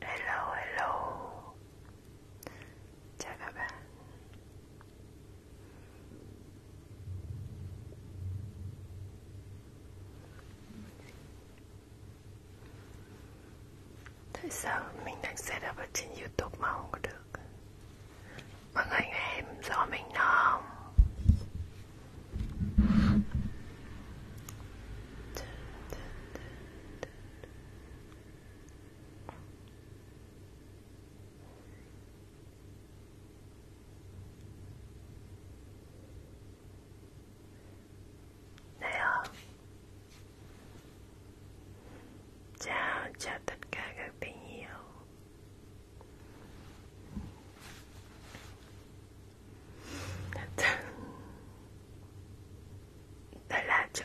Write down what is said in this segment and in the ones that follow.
Hello, hello. Chào các bạn. Tại sao mình đang setup ở trên YouTube mà không có được? Mọi người nghe em rõ mình không? Hello, đây ạ. Chào, chào tất cả các tình yêu. Tôi là chút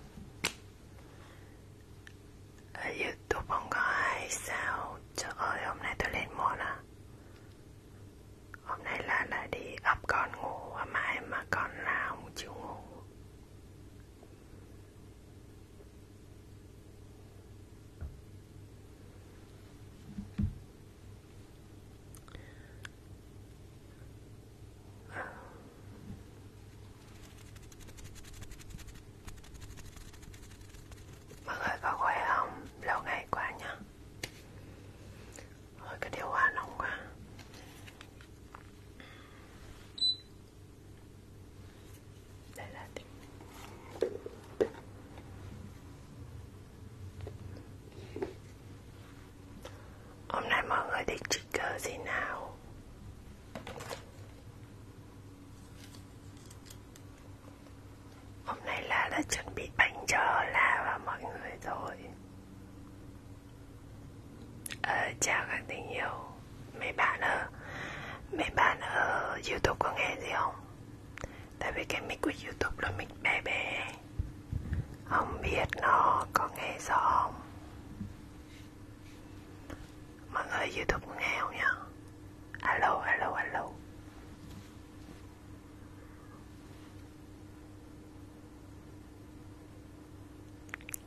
ở Youtube không có ai sao Trời ơi hôm nay tôi lên muộn à Hôm nay là là đi ấp con ngủ à Mãi mà con là không chịu ngủ Mọi người có khỏe không? Lâu ngày quá nhá Rồi cái điều hòa nóng quá Đây là tiếng Hôm nay mọi người thích trigger gì nào? Hôm nay là đã chuẩn bị bánh cho La và mọi người rồi. Ờ, chào các tình yêu. Mấy bạn ở mấy bạn ở YouTube có nghe gì không? Tại vì cái mic của YouTube là mic bé bé Ông biết nó có nghe rõ không? Mọi người Youtube nghe không nhá? Alo, alo, alo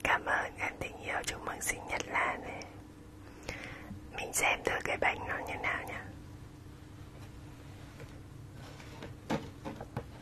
Cảm ơn em tình yêu chúc mừng sinh nhật Lan này Mình xem thử cái bánh nó như nào nhá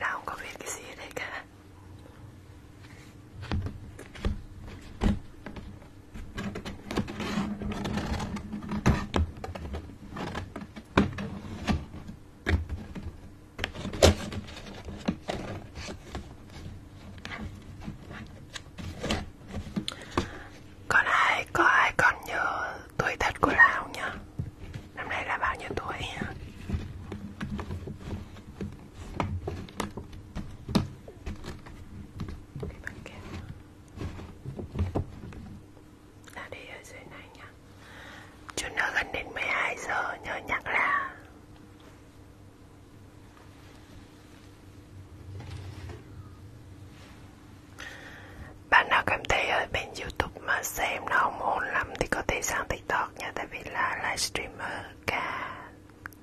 Là không có biết cái gì ở đây cả Còn ai, có ai còn nhớ tuổi thật của Lào nhá Năm nay là bao nhiêu tuổi hả? Cái băng keo Ta đi ở dưới này nhá Chút nữa gần đến 12 giờ nhớ nhắc là bạn nào cảm thấy ở bên youtube mà xem nó không ổn lắm thì có thể sang tiktok nha tại vì là livestreamer cả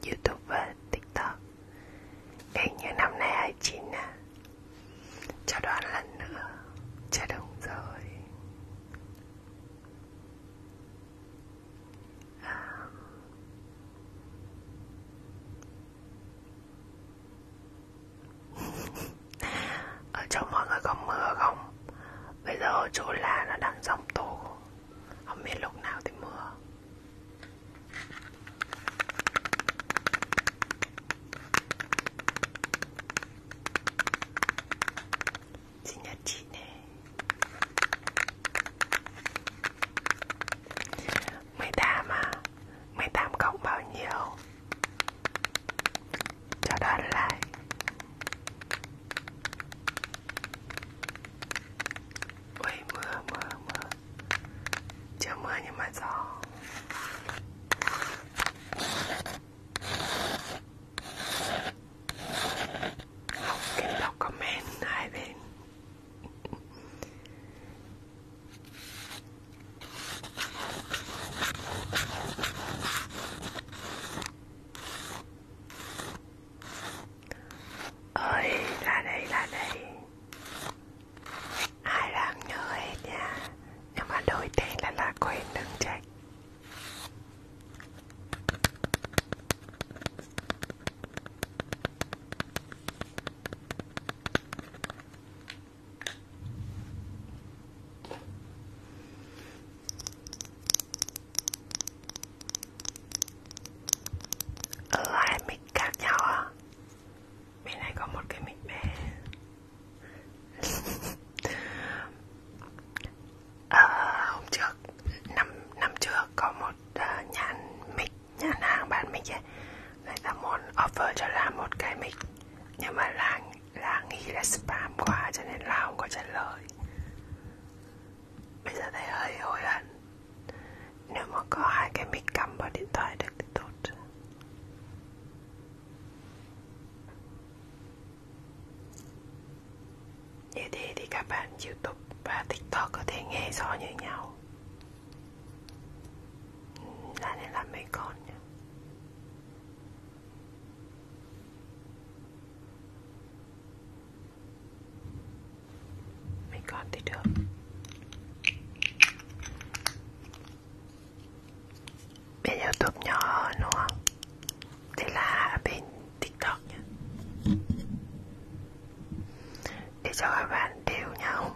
youtube và tiktok hình như năm nay 29 à cho đoán lần nữa cho đúng rồi à ở chỗ mọi người có mưa không bây giờ ở chỗ là nó đang dòng tố không biết lúc nào thì mưa sinh nhật chị nè mười tám à mười tám cộng bao nhiêu cho đoàn lại Ôi mưa mưa mưa Chưa mưa nhưng mà gió Học kính đọc comment hai bên ơi ra đây ra đây ai làm nhớ hết nha nhưng mà đổi tên là là quên đừng trách ở hai mic khác nhau à? Bên này có một cái mic bé Ờ, hôm trước, năm, năm trước có một uh, ờ, nhãn mic, nhãn hàng bán mic ấy Người ta muốn offer cho Lan một cái mic Nhưng mà Lan là nghĩ là spam quá cho nên là không có trả lời Bây giờ thấy hơi hối hận Nếu mà có hai cái mic cầm vào điện thoại được thì tốt Như thế thì các bạn Youtube và TikTok có thể nghe rõ như nhau ừ, Là nên làm mấy con nhé mình còn thì được Bên Youtube nhỏ hơn đúng không? Thế là bên TikTok nhé Để cho các bạn đều nhau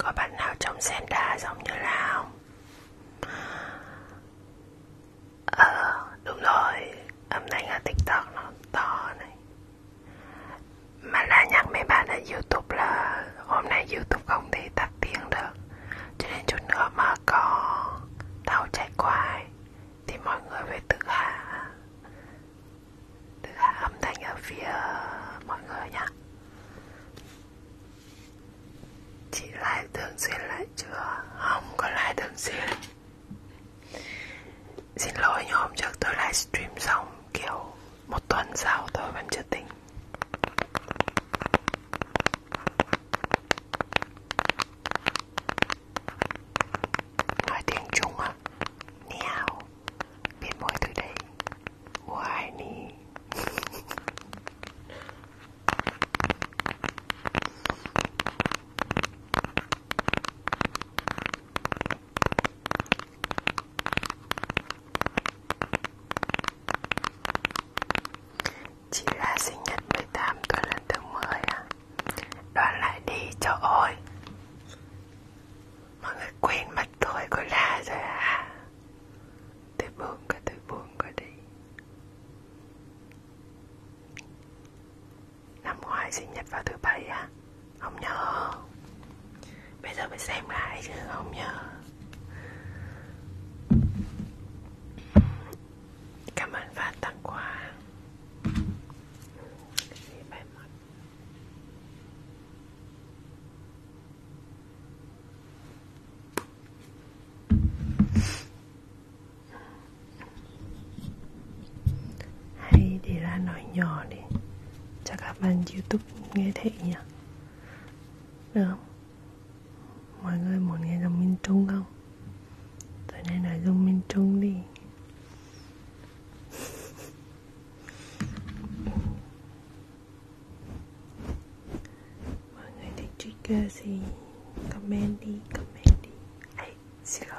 Có bạn nào trong Senda giống như là không? Ờ, đúng rồi, âm thanh ở TikTok nó to này Mà là nhắc mấy bạn ở Youtube là hôm nay Youtube không thể tắt tiếng được cho nên chút nữa mà có tàu chạy qua ấy, thì mọi người phải tự hạ Tự hạ âm thanh ở phía mọi người nhá Chị lại thường xuyên lại chưa? Không có lại thường xuyên Xin lỗi nhưng hôm trước tôi livestream xong kiểu một tuần sau tôi vẫn chưa tính Nói tiếng Trung á Niao Biết mỗi từ đấy Why ni Chị là sinh nhật 18 tuổi lần thứ 10 à Đoán lại đi, trời ơi Mọi người quên mặt tôi của La rồi à Tôi buồn cả, tôi buồn cả đi Năm ngoái sinh nhật vào thứ bảy à Không nhớ Bây giờ phải xem lại chứ không nhớ Cảm ơn và tặng quà Hay để ra nói nhỏ đi Cho các bạn Youtube nghe thấy nhỉ Được không? Mọi người muốn nghe giọng miền Trung không? Tối nay nói giọng miền Trung đi Mọi người thích trigger gì? Comment đi, comment đi Ê, xin lỗi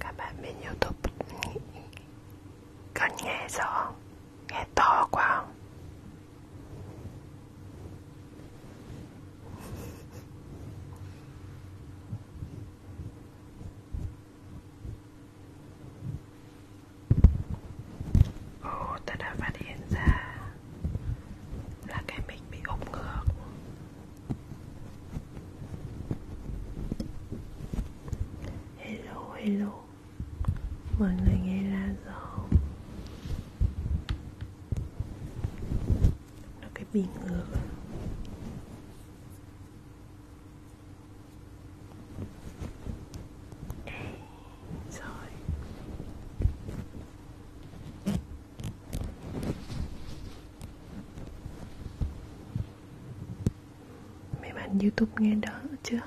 Các bạn bên Youtube cần nghe rõ Nghe to quá không? Ồ, ta đã phát hiện ra là cái mic bị úp ngược Hello, hello mọi người nghe ra rồi không nó cái biên ngược YouTube nghe đỡ chưa?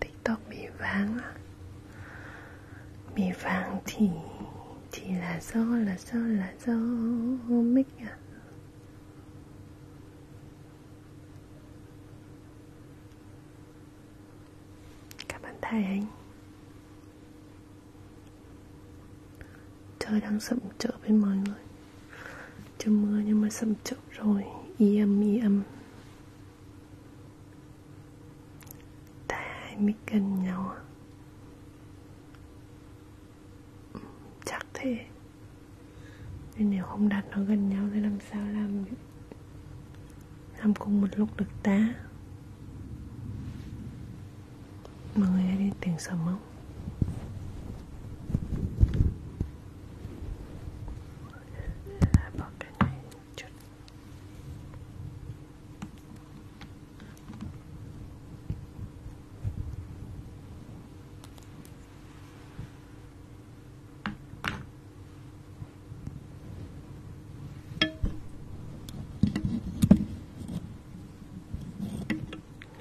tiktok bị vàng bị vàng thì thì là do là do là do mic à các bạn thay anh trời đang sậm trợ với mọi người chưa mưa nhưng mà sầm chậu rồi y âm y âm ta hai mươi cân nhau à? chắc thế nên nếu không đặt nó gần nhau thì làm sao làm làm cùng một lúc được ta mọi người nghe đi tiếng sầm không à, bỏ cái này một chút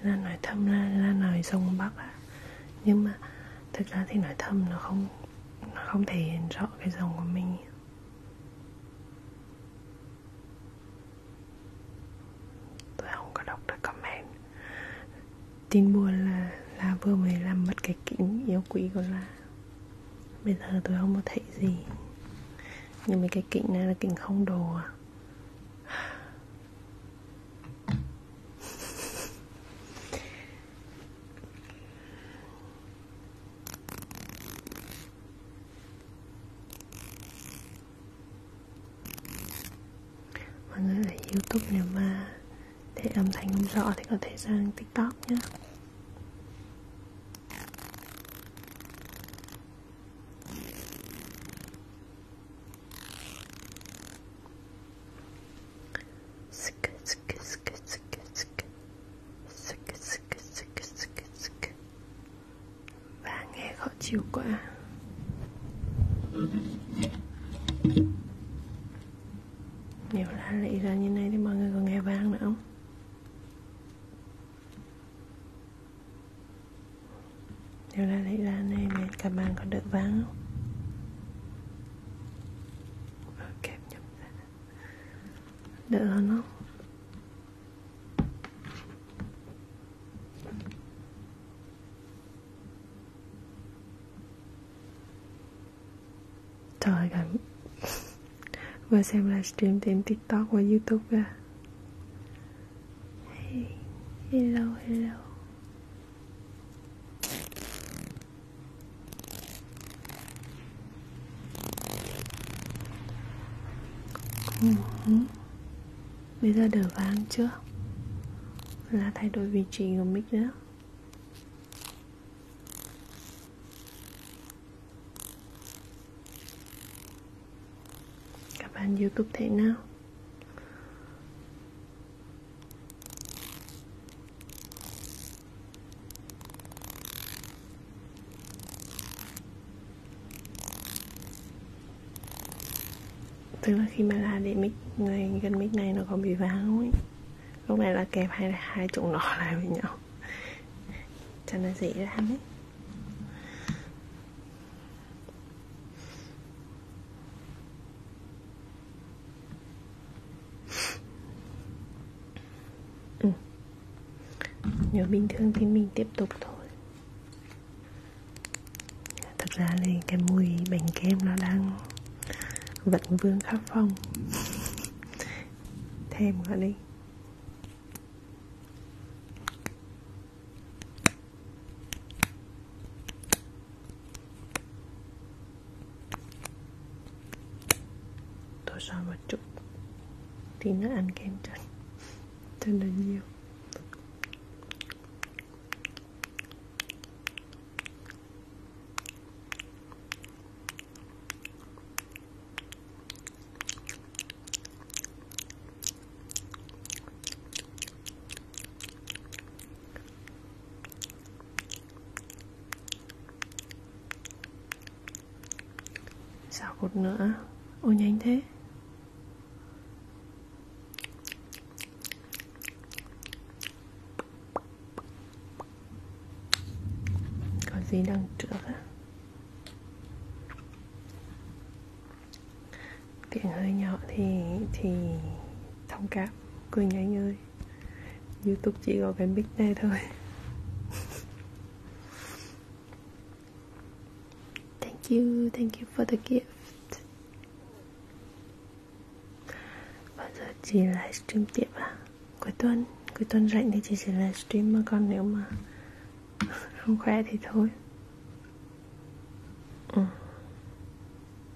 ra nói thăm ra ra nói sông bắc à. nhưng mà thực ra thì nói thầm nó không nó không thể hiện rõ cái dòng của mình tôi không có đọc được comment tin buồn là là vừa mới làm mất cái kính yêu quý của là bây giờ tôi không có thấy gì nhưng mà cái kính này là kính không đồ à mọi người ở youtube nếu mà để âm thanh không rõ thì có thể sang tiktok nhé và nghe khó chịu quá nhiều lá lị ra như này thì mọi người còn nghe vang nữa không nhiều lá lị ra này nên cả bàn có được vang không kẹp nhập ra đỡ hơn không trời ơi vừa xem livestream tìm tiktok và youtube ra hey. hello hello Bây giờ đỡ vang chưa? Là thay đổi vị trí của mic nữa Các bạn Youtube thế nào? tức là khi mà la để mic này gần mic này nó còn bị vang ấy lúc này là kẹp hai hai trụ nó lại với nhau cho nó dễ làm ấy ừ. nếu bình thường thì mình tiếp tục thôi thực ra là cái mùi bánh kem nó đang vẫn vương khắp phòng thêm nữa đi tôi soi một chút thì nó ăn kem chân chân là nhiều Xào cột nữa Ôi nhanh thế Có gì đằng trước á Tiếng hơi nhỏ thì thì thông cảm Cười nhanh ơi youtube chỉ có cái mic này thôi thank you thank you for the gift bao giờ chị livestream tiếp à cuối tuần cuối tuần rảnh thì chị sẽ livestream mà còn nếu mà không khỏe thì thôi ừ.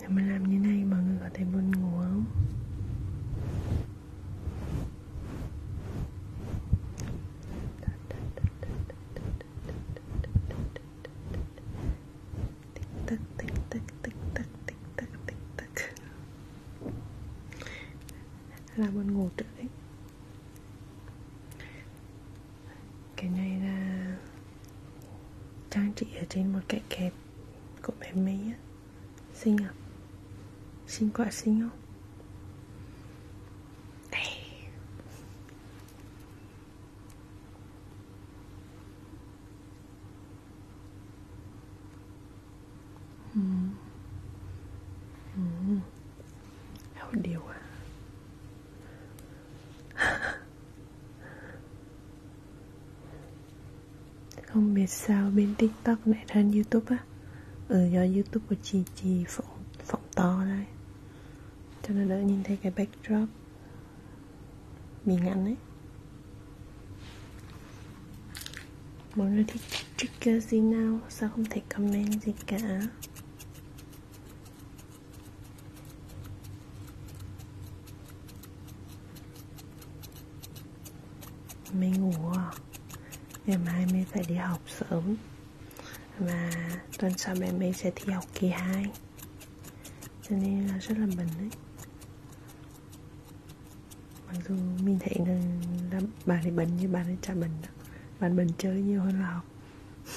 nếu mà làm như này mọi người có thể buồn ngủ không tích tích tích tích tích tích tích tích tích là buồn ngủ trước đấy cái này là trang trí ở trên một cái kẹp Cậu bé mấy á Xinh à Xinh quá xinh không Ừ. Ừ. Hậu điều à Không biết sao bên tiktok lại thành youtube á Ừ do youtube của chị chị phỏng, phỏng to đây Cho nó đỡ nhìn thấy cái backdrop Bị ngắn ấy Mọi người thích trigger gì nào Sao không thể comment gì cả Mai ngủ à? Ngày mai Mai phải đi học sớm Và tuần sau mẹ Mai sẽ thi học kỳ 2 Cho nên là rất là bận đấy Mặc dù mình thấy là, là bạn ấy bận như bạn ấy chả bận đó Bạn bận chơi nhiều hơn là học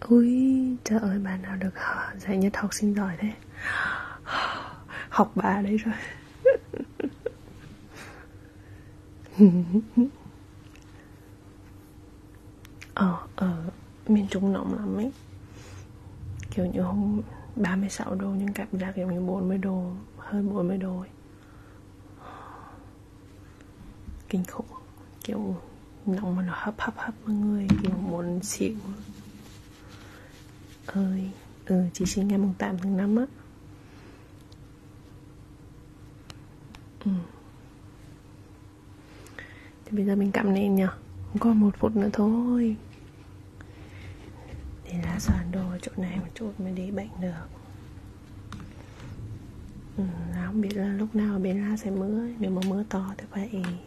Ui, trời ơi, bà nào được dạy nhất học sinh giỏi thế Học bà đấy rồi Ờ, ở ờ, miền Trung nóng lắm ấy Kiểu như hôm 36 độ nhưng cảm giác giống như 40 độ Hơn 40 độ ấy. Kinh khủng Kiểu nóng mà nó hấp hấp hấp mọi người kiểu muốn xỉu ơi ừ chị sinh ngày mùng 8 tháng 5 á ừ. thì bây giờ mình cắm lên nhở còn một phút nữa thôi để lá sàn đồ chỗ này một chút mới để bệnh được ừ, lá không biết là lúc nào bên lá sẽ mưa nếu mà mưa to thì phải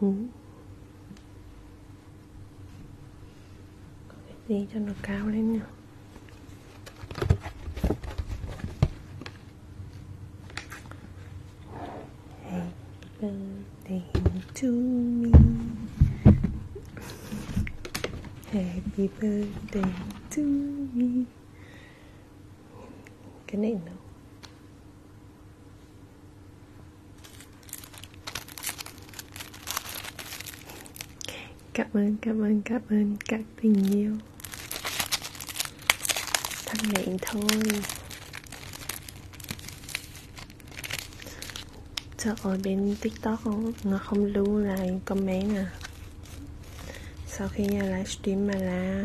ừ. đi cho nó cao lên nha Happy birthday to me Happy birthday to me Cái này nó Cảm ơn, cảm ơn, cảm ơn các tình yêu Thân miệng thôi Trời ơi, bên tiktok không? nó không lưu lại comment à Sau khi nhà livestream mà là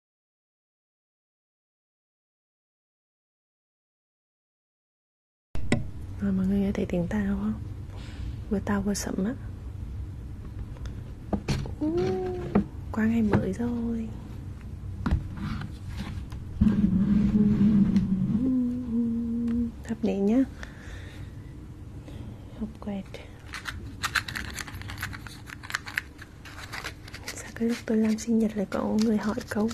Rồi mọi người nghe thấy tiếng tao không? Vừa tao vừa sẫm á uh, Qua ngày mới rồi Thắp đèn nhá Học quẹt sao cái lúc tôi làm sinh nhật lại có người hỏi câu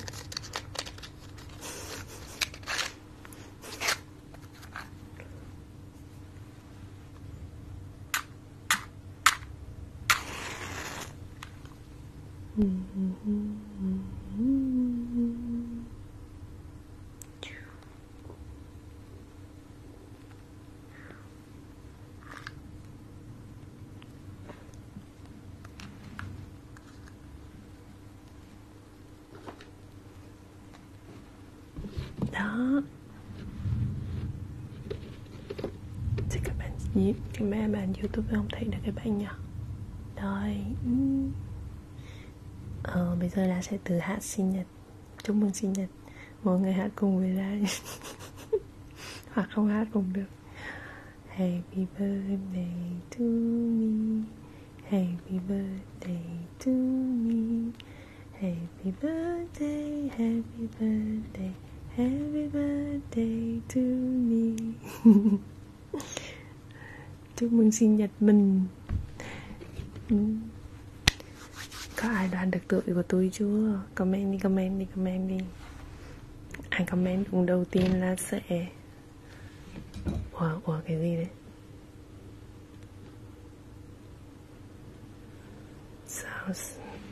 đó thì các bạn nhíp camera bạn youtube không thấy được các bạn nhỉ rồi ờ, bây giờ là sẽ từ hát sinh nhật chúc mừng sinh nhật mọi người hát cùng với lại hoặc không hát cũng được Happy birthday to me Happy birthday to me Happy birthday, happy birthday Happy birthday to me Chúc mừng sinh nhật mình ừ. Có ai đoán được tuổi của tôi chưa? Comment đi, comment đi, comment đi ai comment vùng đầu tiên là sẽ ủa ủa cái gì đấy sao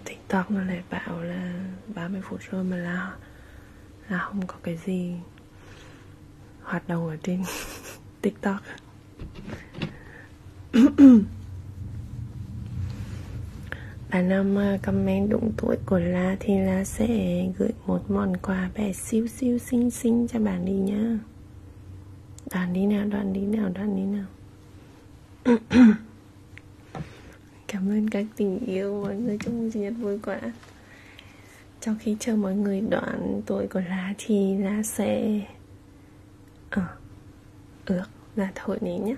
tiktok nó lại bảo là 30 phút rồi mà là là không có cái gì hoạt động ở trên tiktok bà Nam ờ, comment đúng tuổi của La thì La sẽ gửi một món quà bé xíu xíu xinh xinh cho bạn đi nhá Đoạn đi nào, đoạn đi nào, đoạn đi nào Cảm ơn các tình yêu mọi người chúc mừng sinh nhật vui quá Trong khi chờ mọi người đoạn tuổi của La thì La sẽ ờ, à, ước là thổi nến nhá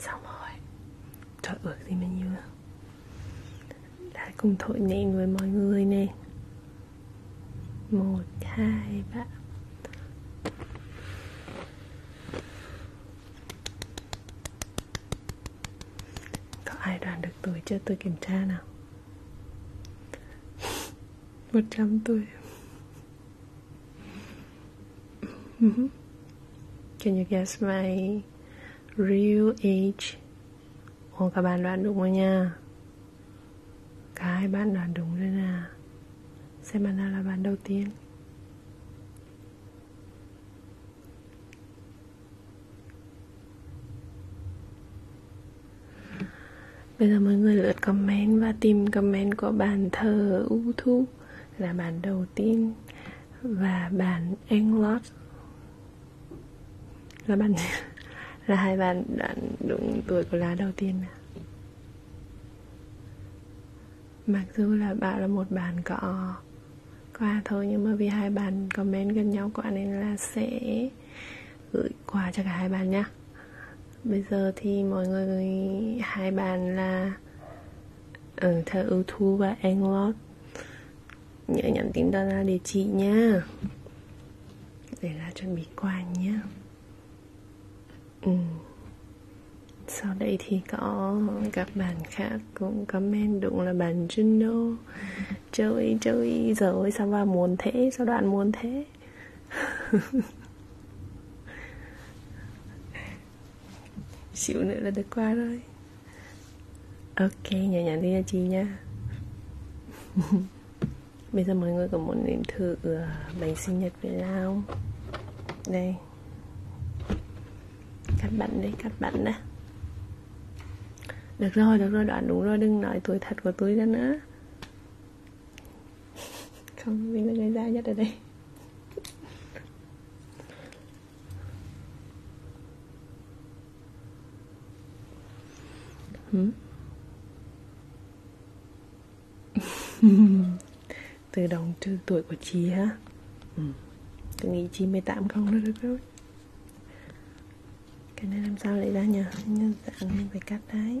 Xong rồi Trời ước gì mình như Đã cùng thổi nền với mọi người nè một hai ba có ai đoán được tuổi chưa tôi kiểm tra nào một trăm tuổi Can you guess my real age? Ồ các bạn đoán đúng rồi nha Cả hai bạn đoán đúng rồi nè Xem bạn nào là bạn đầu tiên Bây giờ mọi người lượt comment và tìm comment của bạn thờ U Thu là bạn đầu tiên và bạn Englot là bạn là hai bạn đã đúng tuổi của lá đầu tiên à? mặc dù là bạn là một bạn có quà thôi nhưng mà vì hai bạn comment gần nhau quá nên là sẽ gửi quà cho cả hai bạn nhá bây giờ thì mọi người hai bạn là ở ừ, theo ưu thu và anglot nhớ nhắn tin ra địa chỉ nha để ra chuẩn bị quà nhé ừ. sau đây thì có các bạn khác cũng comment đúng là bạn Juno chơi chơi giờ ơi sao ba muốn thế sao đoạn muốn thế xíu nữa là được qua rồi ok nhỏ nhỏ đi cho chị nha Bây giờ mọi người có muốn nếm thử ờ, bánh sinh nhật Việt Nam không? Đây Cắt bắn đấy, cắt bắn đã Được rồi, được rồi, đoạn đúng rồi Đừng nói tuổi thật của tôi ra nữa Không, mình là người già nhất ở đây từ đồng trừ tuổi của chị hả ừ. tôi nghĩ chị 18 không đó được rồi cái này làm sao lại ra nhỉ nhân dạng mình phải cắt đấy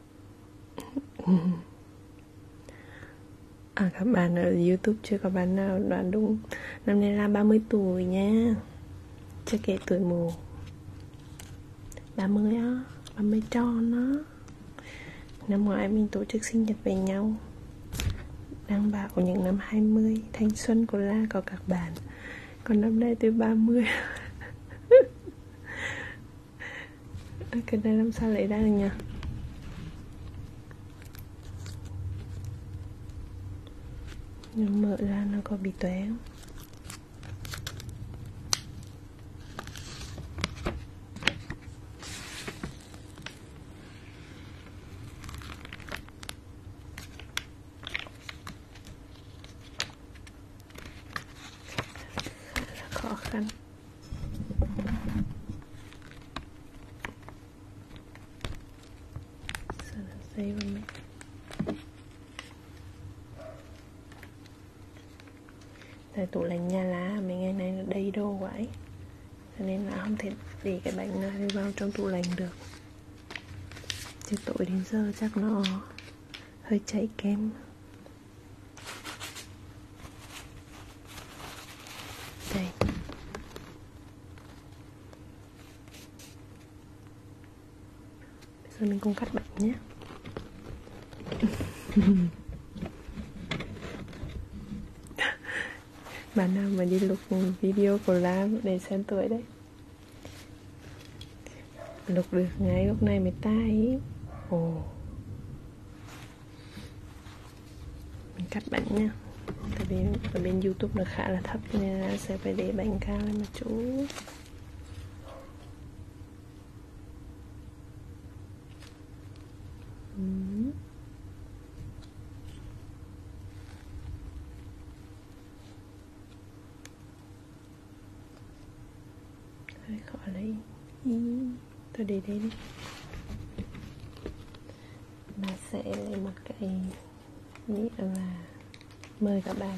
À, các bạn ở YouTube chưa có bạn nào đoán đúng Năm nay là 30 tuổi nha Chưa kể tuổi mù 30 á 30 tròn đó Năm ngoái mình tổ chức sinh nhật với nhau Đang bảo những năm 20 Thanh xuân của La có các bạn Còn năm nay tôi 30 ok đây làm sao lấy ra được nhỉ nếu mở ra nó có bị tóe không khó khăn So the same me. Tại tủ lạnh nhà lá mấy ngày nay nó đầy đồ quãi Cho nên là không thể để cái bánh này vào trong tủ lạnh được Chứ tội đến giờ chắc nó hơi chảy kem đây Bây giờ mình cùng cắt bạch nhé bạn nào mà đi lục video của Lam để xem tuổi đấy lục được ngay lúc này mới tay ồ oh mình cắt bánh nha tại vì ở bên youtube nó khá là thấp nên là sẽ phải để bánh cao lên một chút Mm-hmm hơi khó lấy ý tôi để đây đi bà sẽ lấy một cái nhĩ và mời các bạn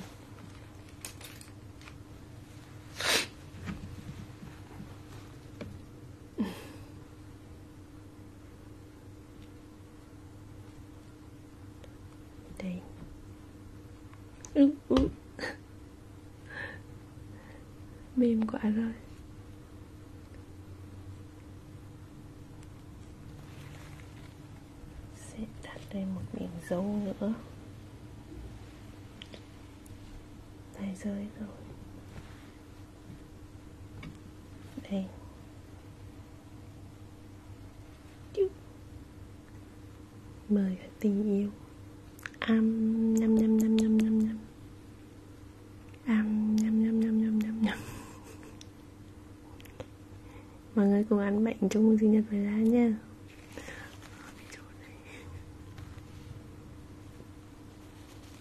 đây ừ, ừ mềm quá rồi sẽ đặt đây một miếng dấu nữa này rơi rồi đây mời tình yêu um, nhâm nhâm nhâm nhâm nhâm nhâm um, nhâm nhâm nhâm nhâm nhâm nhâm mọi người cùng ăn bệnh chúc mừng sinh nhật với ra nha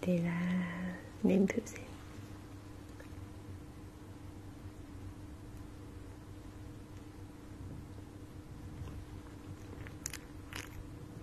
thì là nếm thử xem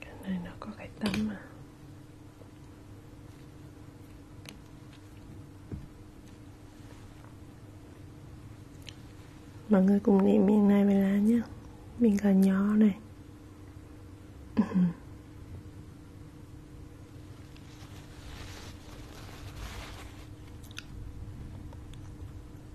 cái này nó có cái tâm mà mọi người cùng niệm miệng này về lá nhé miệng cà nhỏ này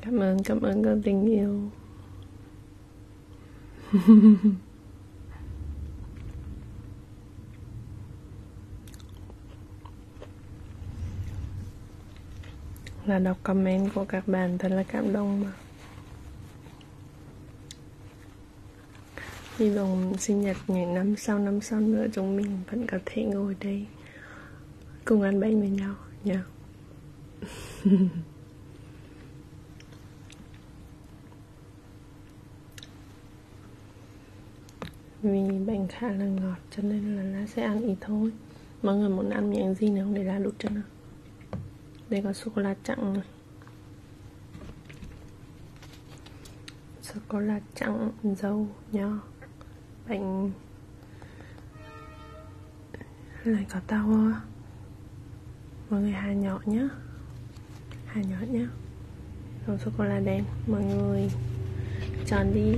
cảm ơn cảm ơn con tình yêu là đọc comment của các bạn thật là cảm động mà hy vọng sinh nhật ngày năm sau năm sau nữa chúng mình vẫn có thể ngồi đây cùng ăn bánh với nhau nha yeah. vì bánh khá là ngọt cho nên là lá sẽ ăn ít thôi mọi người muốn ăn miếng gì nữa không để lá đút cho nào đây có sô cô la trắng này sô cô la trắng dâu nho bánh này có tao mọi người hà nhỏ nhé hà nhỏ nhé còn sô cô la đen mọi người chọn đi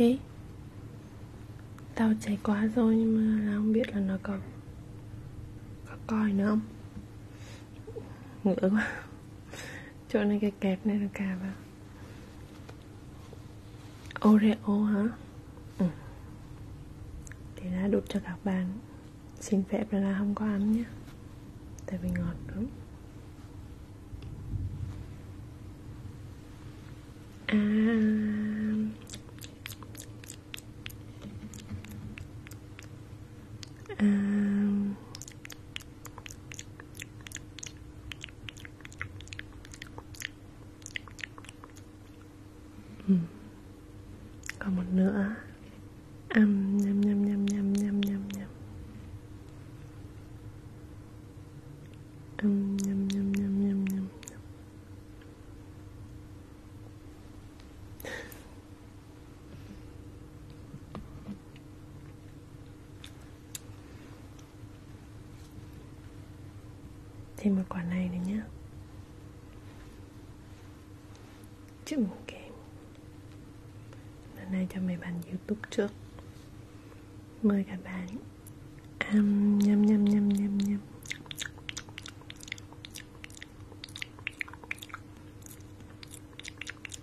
ok Tao cháy quá rồi nhưng mà là không biết là nó còn Có coi nữa không Ngửa quá chỗ này cái kẹp này là cà vào Oreo hả? Ừ. Thì đã đút cho các bạn Xin phép là, là không có ăn nhé Tại vì ngọt đúng À À ừ. còn một nữa âm nhâm nhâm nhâm nhâm nhâm nhâm nhâm âm nhâm nhâm nhâm nhâm nhâm thêm một quả này nữa nhé trứng kèm lần này cho mấy bạn youtube trước mời các bạn um, nhâm nhâm nhâm nhâm nhâm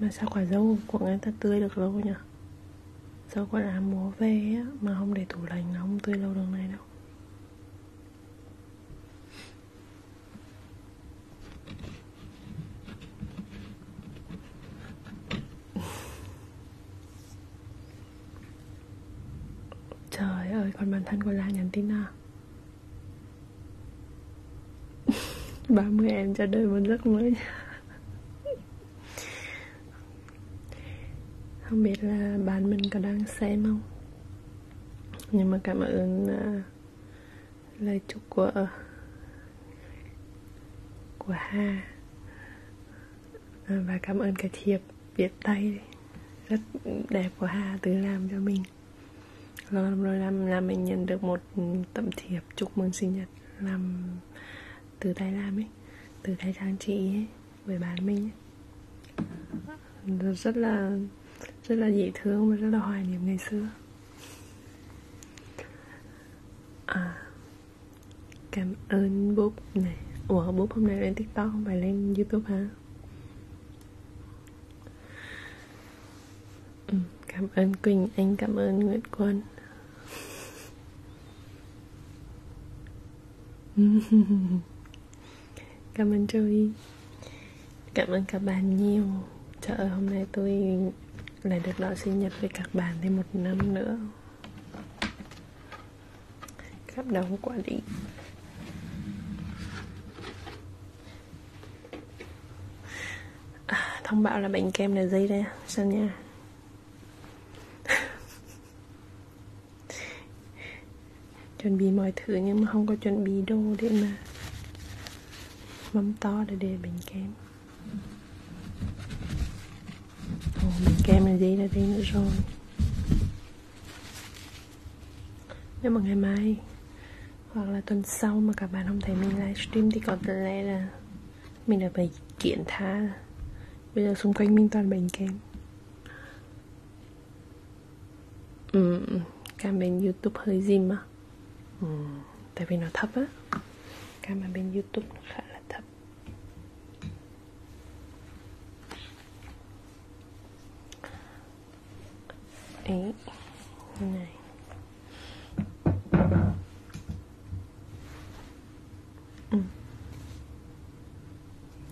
mà sao quả dâu của người ta tươi được lâu nhỉ Dâu quả đá múa về á, mà không để tủ lạnh nó không tươi lâu đường này đâu Trời ơi, còn bản thân của La nhắn tin à 30 em cho đời mình rất mới Không biết là bạn mình có đang xem không Nhưng mà cảm ơn uh, lời chúc của của Hà à, Và cảm ơn cái thiệp viết tay rất đẹp của Hà tự làm cho mình lần vâng, rồi làm là mình nhận được một tấm thiệp chúc mừng sinh nhật làm từ tay làm ấy từ tay trang trí ấy với bạn mình ấy. rất là rất là dễ thương và rất là hoài niệm ngày xưa à, cảm ơn búp này ủa búp hôm nay lên tiktok không phải lên youtube hả ừ, cảm ơn quỳnh anh cảm ơn nguyễn quân cảm ơn Joey cảm ơn các bạn nhiều trời ơi hôm nay tôi lại được đón sinh nhật với các bạn thêm một năm nữa cảm động quá đi à, thông báo là bệnh kem là gì đây xem nha chuẩn bị mọi thứ nhưng mà không có chuẩn bị đồ để mà mắm to để để bánh kem Ồ, bánh kem là gì là đây nữa rồi nếu mà ngày mai hoặc là tuần sau mà các bạn không thấy mình livestream thì có lẽ là mình đã bị kiện tha bây giờ xung quanh mình toàn bệnh kém ừ, cảm bên youtube hơi dìm á ừ, tại vì nó thấp á cảm bên youtube nó khá là thấp ấy này ừ.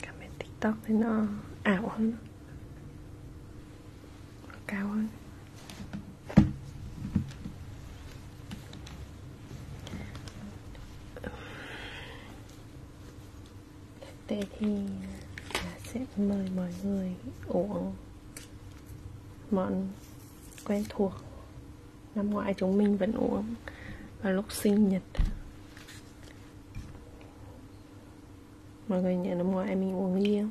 Comment tiktok thì nó ảo hơn cao hơn tế thì sẽ mời mọi người uống món quen thuộc năm ngoái chúng mình vẫn uống vào lúc sinh nhật mọi người nhớ năm ngoái mình uống ly không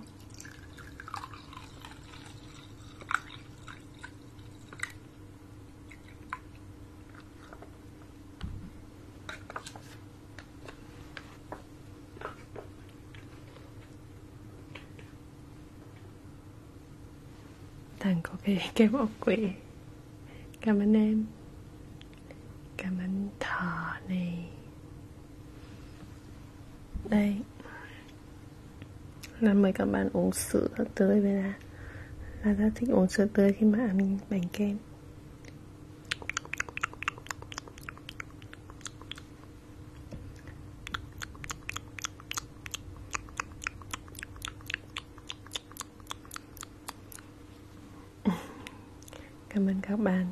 Thằng có cái cái bộ quỷ Cảm ơn em Cảm ơn thỏ này Đây Là mời các bạn uống sữa tươi với là Là rất thích uống sữa tươi khi mà ăn bánh kem Cảm ơn các bạn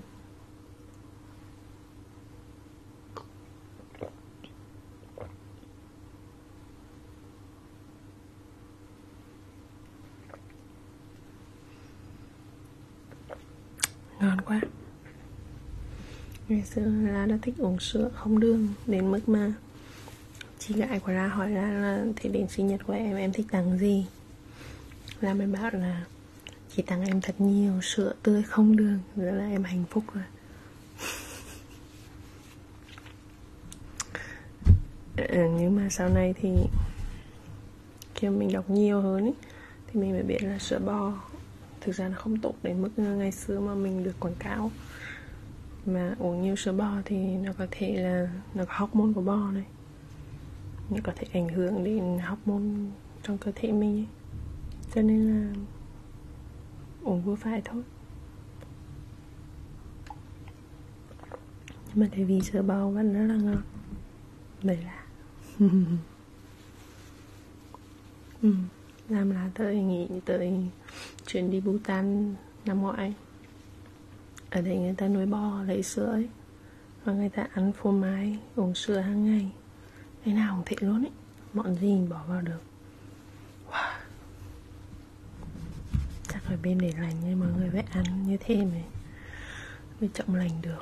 ngon quá ngày xưa ra đã thích uống sữa không đường đến mức mà chị gái của ra hỏi ra là thế đến sinh nhật của em em thích tặng gì ra mới bảo là chị tặng em thật nhiều sữa tươi không đường nữa là em hạnh phúc rồi à, nhưng mà sau này thì khi mình đọc nhiều hơn ý, thì mình mới biết là sữa bò thực ra nó không tốt đến mức ờ, ngày xưa mà mình được quảng cáo mà uống nhiều sữa bò thì nó có thể là nó có hormone của bò này nó có thể ảnh hưởng đến hormone trong cơ thể mình ấy. cho nên là uống vừa phải thôi nhưng mà tại vì sữa bò vẫn rất là ngon vậy là ừ làm là tới nghỉ tới chuyển đi Bhutan năm ngoái ở đây người ta nuôi bò lấy sữa ấy và người ta ăn phô mai uống sữa hàng ngày ngày nào cũng thế luôn ấy mọn gì bỏ vào được wow. chắc phải bên để lành nhưng mọi người phải ăn như thế mới mới trọng lành được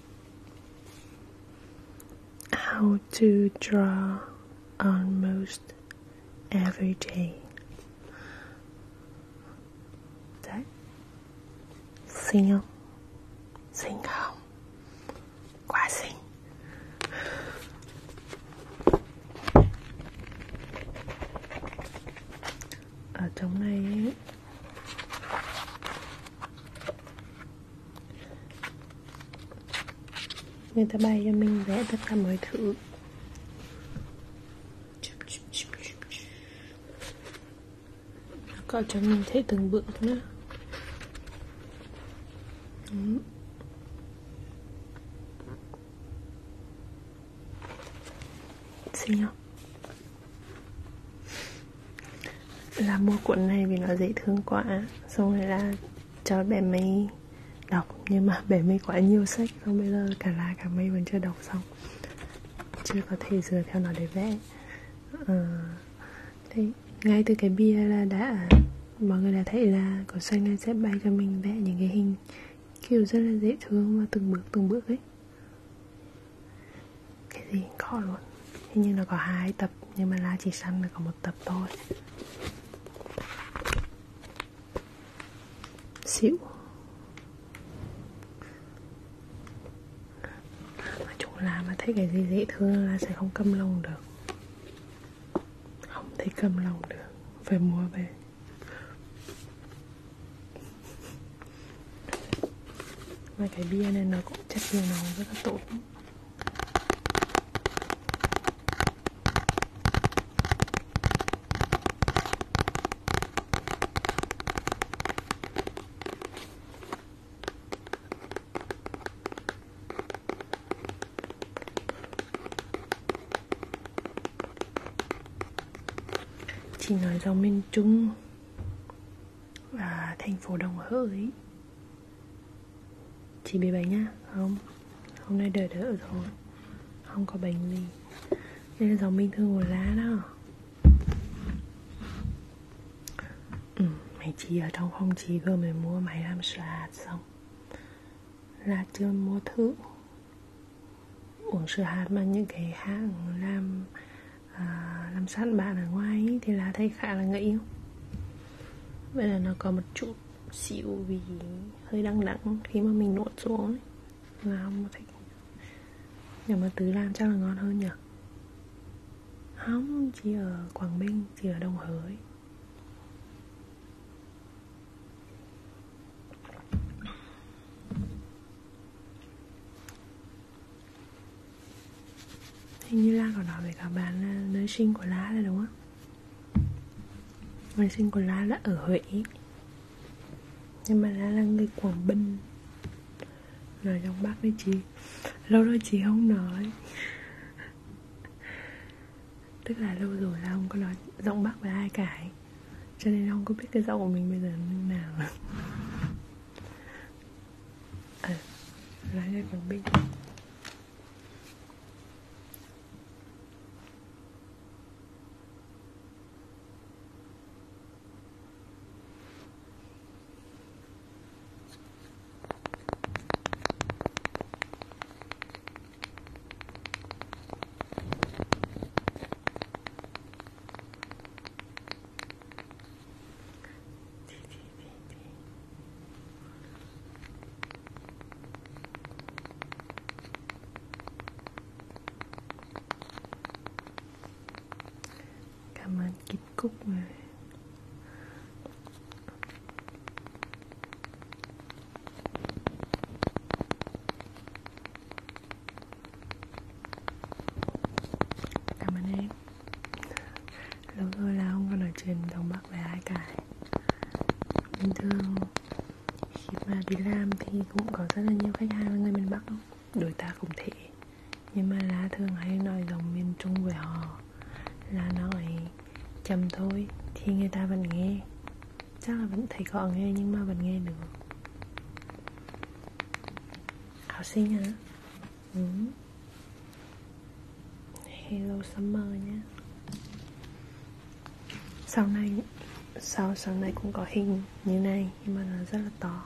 How to draw almost every day. Đấy. Xinh không? Xinh không? ở trong này ấy, người ta bày cho mình vẽ tất cả mọi thứ nó có cho mình thấy từng bước nữa Đúng. xinh không là mua cuộn này vì nó dễ thương quá xong rồi là cho bé mấy đọc nhưng mà bé mấy quá nhiều sách không bây giờ cả là cả mấy vẫn chưa đọc xong chưa có thể dựa theo nó để vẽ à, thế ngay từ cái bia là đã mọi người đã thấy là cỏ xanh này sẽ bay cho mình vẽ những cái hình kiểu rất là dễ thương và từng bước từng bước ấy cái gì cũng có luôn hình như là có hai tập nhưng mà lá chỉ săn là có một tập thôi xỉu mà chủ là mà thấy cái gì dễ thương là sẽ không cầm lòng được không thể cầm lòng được phải mua về và cái bia này nó cũng chất nhiều màu rất là tốt chỉ nói dòng miền Trung và thành phố đồng hỡi chỉ bị bánh nha không hôm nay đỡ đỡ rồi không có bánh gì đây là giống bình thường của lá đó ừ, mày chỉ ở trong không chỉ vừa mới mua máy làm sữa xong là chưa mua thử uống sữa hạt mà những cái hãng làm à, làm sát bạn ở ngoài ấy, thì là thấy khá là người yêu vậy là nó có một chút xịu vì hơi đắng đắng khi mà mình nuốt xuống ấy. là không thích nhưng mà tứ làm chắc là ngon hơn nhỉ không chỉ ở quảng bình chỉ ở đồng hới Hình như Lan còn nói với các bạn là nơi sinh của lá là đúng không? Nơi sinh của lá là ở Huế Nhưng mà lá là người Quảng Bình Nói trong Bắc với chị Lâu rồi chị không nói Tức là lâu rồi là không có nói giọng Bắc với ai cả ấy. Cho nên không có biết cái giọng của mình bây giờ như nào à, lái ra quảng bình Tí, tí, tí, tí. Cảm ơn Kít Cúc người Cảm ơn em Lâu rồi là không còn nói chuyện đồng Bắc với ai cả Bình thường khi mà đi làm thì cũng có rất là nhiều khách hàng là người miền Bắc không? Đối tác cũng thế Nhưng mà lá thường hay nói giọng miền Trung với họ Là nói chậm thôi thì người ta vẫn nghe Chắc là vẫn thấy có nghe nhưng mà vẫn nghe được Học sinh hả? ừ. Hello Summer nhé Sau này Sau sáng nay cũng có hình như này Nhưng mà nó rất là to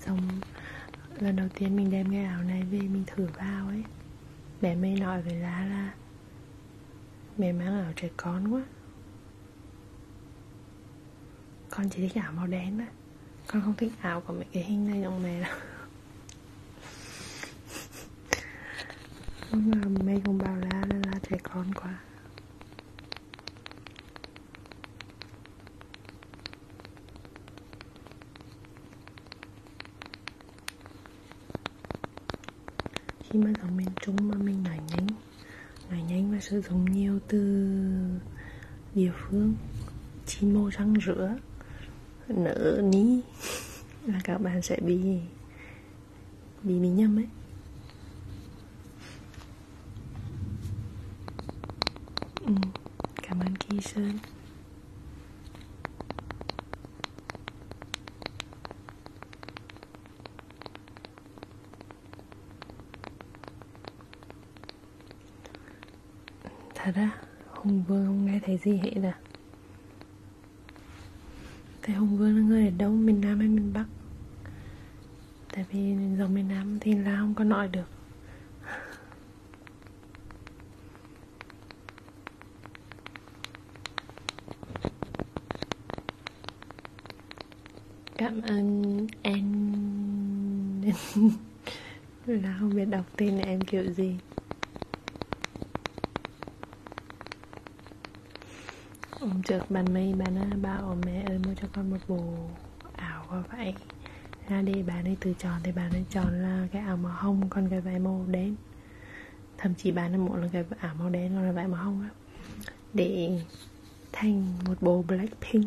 Xong Lần đầu tiên mình đem cái áo này về Mình thử vào ấy Bé mê nói với lá là Mẹ mang áo trẻ con quá con chỉ thích áo màu đen đó con không thích áo của mấy cái hình này giống mẹ đâu nhưng mà mẹ cũng bảo là là trẻ con quá khi mà giống miền trung mà mình nói nhanh nói nhanh và sử dụng nhiều từ địa phương chi mô răng rửa nở ní là các bạn sẽ bị bị bị nhầm ấy ừ, cảm ơn kỳ sơn Thật á, Hùng Vương không nghe thấy gì hết à Thế Hùng Vương là người ở đâu, miền Nam hay miền Bắc Tại vì dòng miền Nam thì là không có nói được Cảm ơn anh Là không biết đọc tên này em kiểu gì Hôm trước bạn mây bạn á, bảo mẹ ơi mua cho con một bộ ảo và vậy ra đi bạn ấy từ chọn thì bạn ấy chọn là cái ảo màu hồng còn cái vải màu đen thậm chí bạn ấy muốn là cái ảo màu đen còn là vải màu hồng đó để thành một bộ blackpink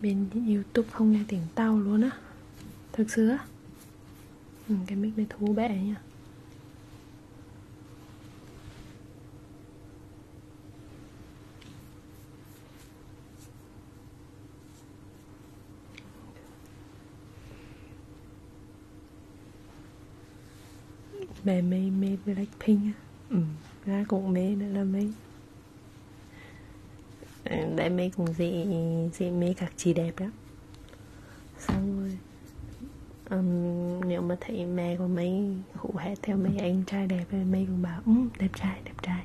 bên youtube không nghe tiếng tao luôn á thực sự á ừ, cái mic này thú bẹ nha mê mê mê Blackpink á ừ. ra cũng mê nữa là mê đại ừ, mê cũng dễ dễ mê các chị đẹp lắm xong rồi um, nếu mà thấy mẹ của mấy hụ hét theo mấy anh trai đẹp thì mấy cũng bảo um, đẹp trai đẹp trai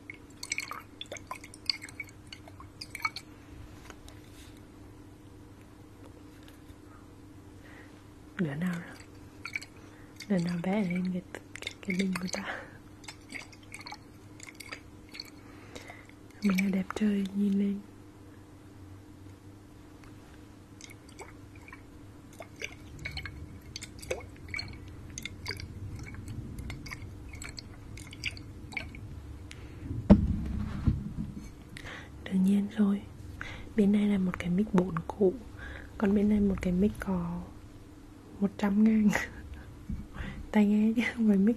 đứa nào đứa nào vẽ lên cái cái bình của ta mình là đẹp trời nhìn lên đương nhiên rồi bên này là một cái mic 4 cũ còn bên này một cái mic có 100 ngàn tai nghe chứ không phải mic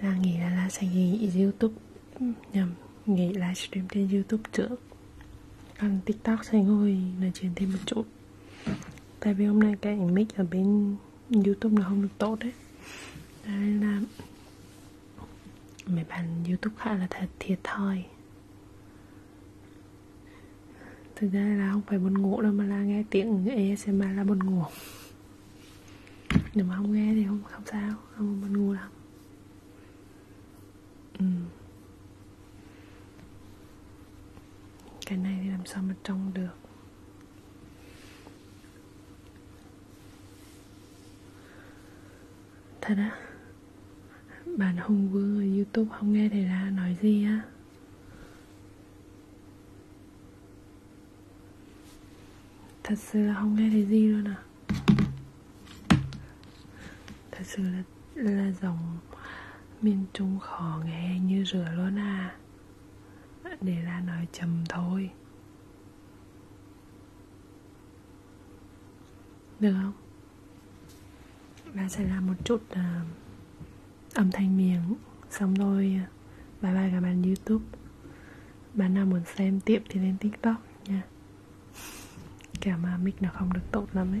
là nghĩ là là sẽ nghỉ youtube nhầm nghỉ livestream trên youtube trước còn tiktok sẽ ngồi nói chuyện thêm một chút tại vì hôm nay cái mic ở bên youtube nó không được tốt đấy nên là mấy bạn youtube khá là thật thiệt thòi thực ra là không phải buồn ngủ đâu mà là nghe tiếng ASMR là buồn ngủ nhưng mà không nghe thì không không sao không mình ngu lắm ừ. cái này thì làm sao mà trông được thật á bạn hùng vương ở youtube không nghe thầy ra nói gì á Thật sự là không nghe thấy gì luôn à Thật sự là, là giọng miền trung khó nghe như rửa luôn à Để là nói chầm thôi Được không? Và sẽ làm một chút uh, âm thanh miếng xong rồi bye bye các bạn youtube bạn nào muốn xem tiếp thì lên tiktok nha cả mà mic nó không được tốt lắm ấy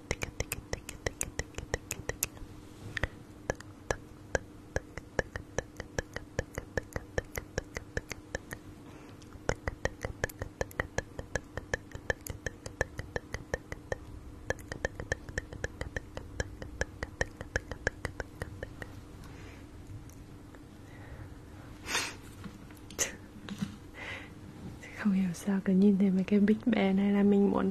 không hiểu sao cứ nhìn thấy mấy cái big band hay là mình muốn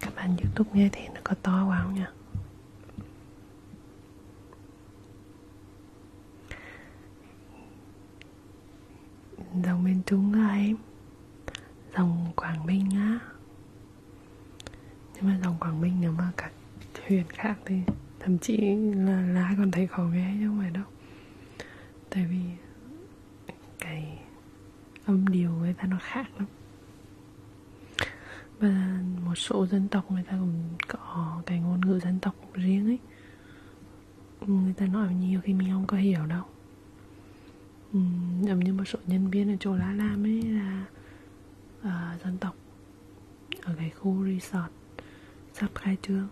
các bạn youtube nghe thì nó có to quá không nha dòng miền trung á em dòng quảng bình á nhưng mà dòng quảng bình nếu mà cả huyền khác thì thậm chí là lá còn thấy khó nghe chứ không phải đâu tại vì cái âm điều người ta nó khác lắm và một số dân tộc người ta cũng có cái ngôn ngữ dân tộc riêng ấy người ta nói nhiều khi mình không có hiểu đâu giống như một số nhân viên ở chỗ lá làm ấy là uh, dân tộc ở cái khu resort sắp khai trương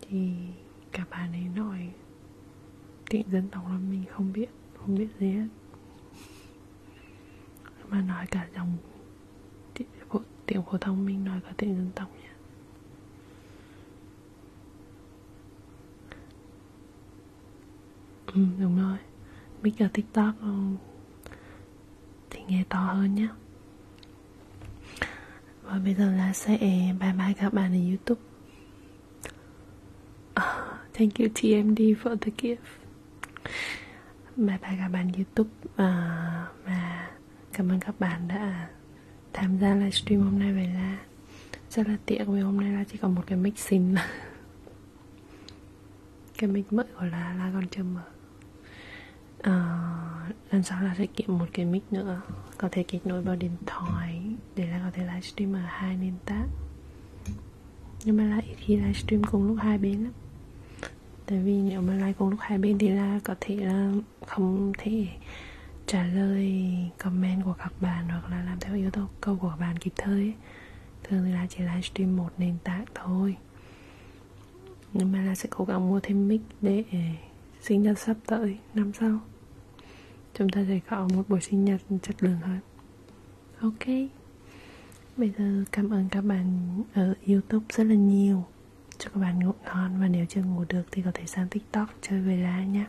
thì cả bà ấy nói tiếng dân tộc là mình không biết không biết gì hết mà nói cả dòng tiếng phổ thông mình nói cả tiếng dân tộc nhé ừ đúng rồi mic ở tiktok ừ. thì nghe to hơn nhé và bây giờ là sẽ ờ, bye bye các bạn ở youtube uh, thank you tmd for the gift bye bye các bạn youtube uh, và cảm ơn các bạn đã tham gia livestream hôm nay vậy là rất là tiện vì hôm nay là chỉ còn một cái mic xịn cái mic mới của là là còn chưa mở uh, lần sau là sẽ kiếm một cái mic nữa có thể kết nối vào điện thoại để là có thể livestream ở hai nền tảng nhưng mà là ít khi livestream cùng lúc hai bên lắm tại vì nếu mà live cùng lúc hai bên thì là có thể là không thể trả lời comment của các bạn hoặc là làm theo yêu cầu câu của các bạn kịp thời ấy. thường thì là chỉ livestream một nền tảng thôi nhưng mà là sẽ cố gắng mua thêm mic để sinh nhật sắp tới năm sau chúng ta sẽ có một buổi sinh nhật chất lượng hơn ok bây giờ cảm ơn các bạn ở youtube rất là nhiều cho các bạn ngủ ngon và nếu chưa ngủ được thì có thể sang tiktok chơi với la nhé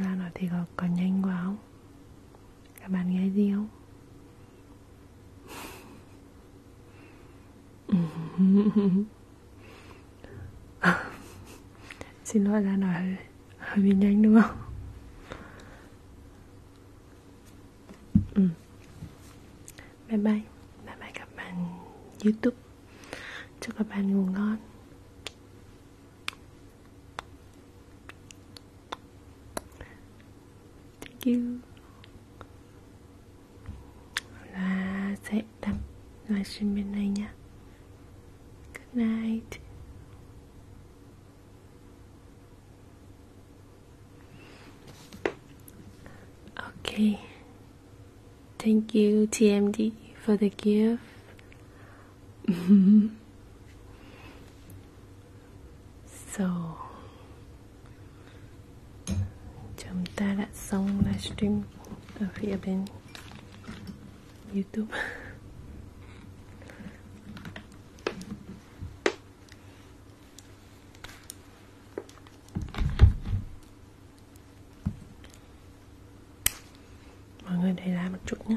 la nói thì có, có nhanh quá không các bạn nghe gì không mm-hmm xin lỗi ra nói hơi, hơi bị nhanh đúng không ừ. bye bye bye bye các bạn youtube chúc các bạn ngủ ngon thank you và sẽ đăng livestream bên này nha Good night Okay Thank you TMD for the gift So chúng ta đã xong livestream ở phía bên YouTube mọi người để lại một chút nhé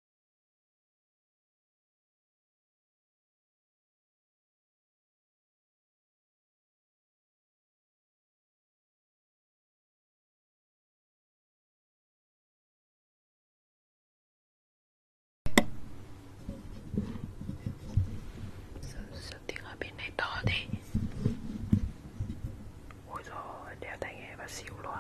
sao tiếng ở bên này to thế ôi rồi đeo tai nghe và xỉu luôn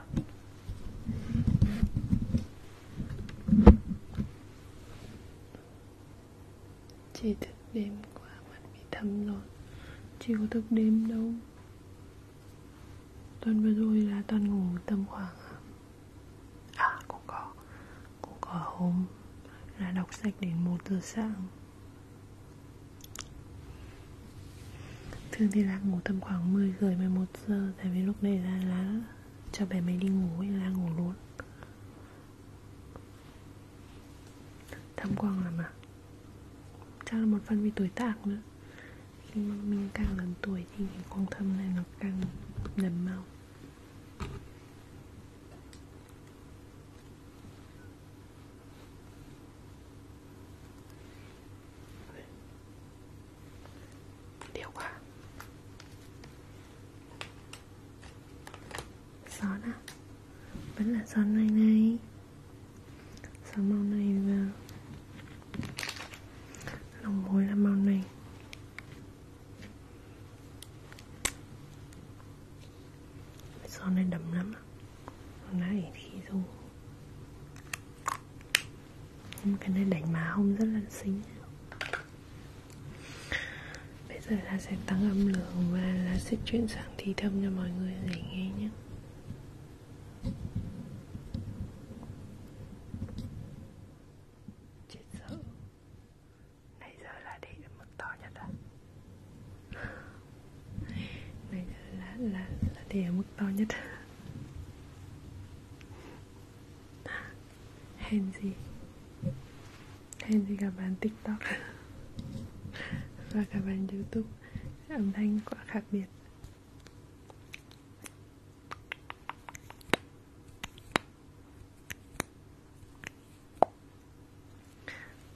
Chị thức đêm quá mặt bị thâm rồi Chị có thức đêm đâu Tuần vừa rồi là toàn ngủ tầm khoảng À cũng có Cũng có hôm là đọc sách đến 1 giờ sáng Thường thì là ngủ tầm khoảng 10 rưỡi 11 giờ Tại vì lúc này là lá cho bé mấy đi ngủ là ngủ luôn tham quan làm à chắc là một phần vì tuổi tác nữa khi mà mình càng lớn tuổi thì cái quan tâm này nó càng nằm mau Điều quá Son á Vẫn là son này này Son màu này là Lòng mối là màu này Son này đậm lắm Còn đã ỉ thì dùng nhưng cái này đánh má hông rất là xinh bây giờ là sẽ tăng âm lượng và là sẽ chuyển sang thi thâm cho mọi người để nghe nhé chết sợ nãy giờ là để mức to nhất à nãy giờ là là là để mức to nhất hèn gì hèn gì cả bạn tiktok và cả bạn youtube âm thanh quá khác biệt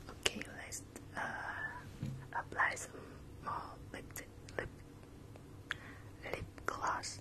Okay, let's uh, apply some more lip lip lip gloss.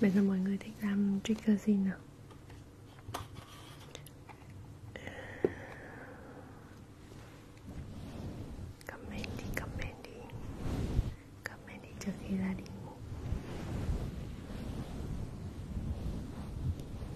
Bây giờ mọi người thích làm trigger gì nào Comment đi, comment đi Comment đi trước khi ra đi ngủ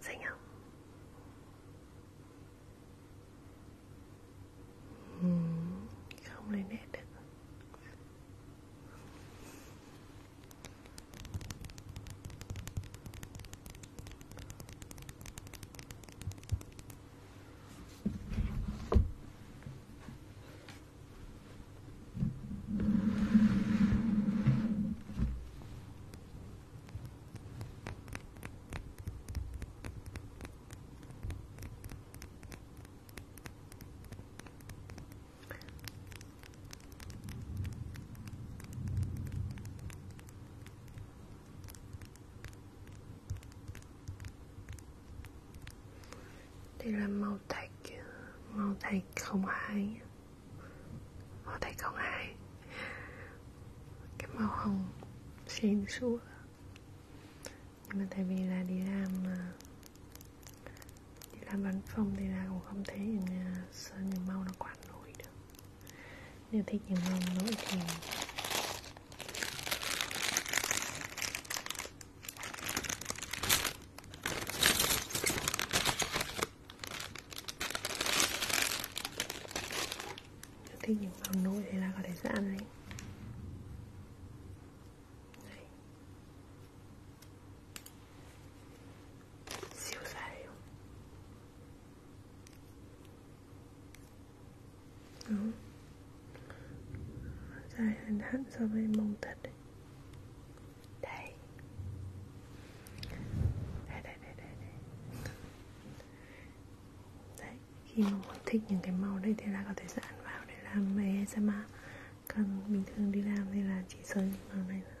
xinh không ừ, không lên nét được đây là màu thạch, màu thạch không hai ở đây có ai cái màu hồng xuyên suốt nhưng mà tại vì là đi làm à, đi làm văn phòng thì là cũng không thấy những sơn những màu nó quá nổi được nếu thích những màu nổi thì nếu thích những món nồi thì là có thể sẽ ăn đấy ừ. dài hơn hẳn so với mông thật đấy. Đây. Đây, đây, đây, đây, đây. Đấy, khi mà muốn thích những cái màu đây thì là có thể dán vào để làm ASMR Còn bình thường đi làm thì là chỉ sơn những màu này thôi Đây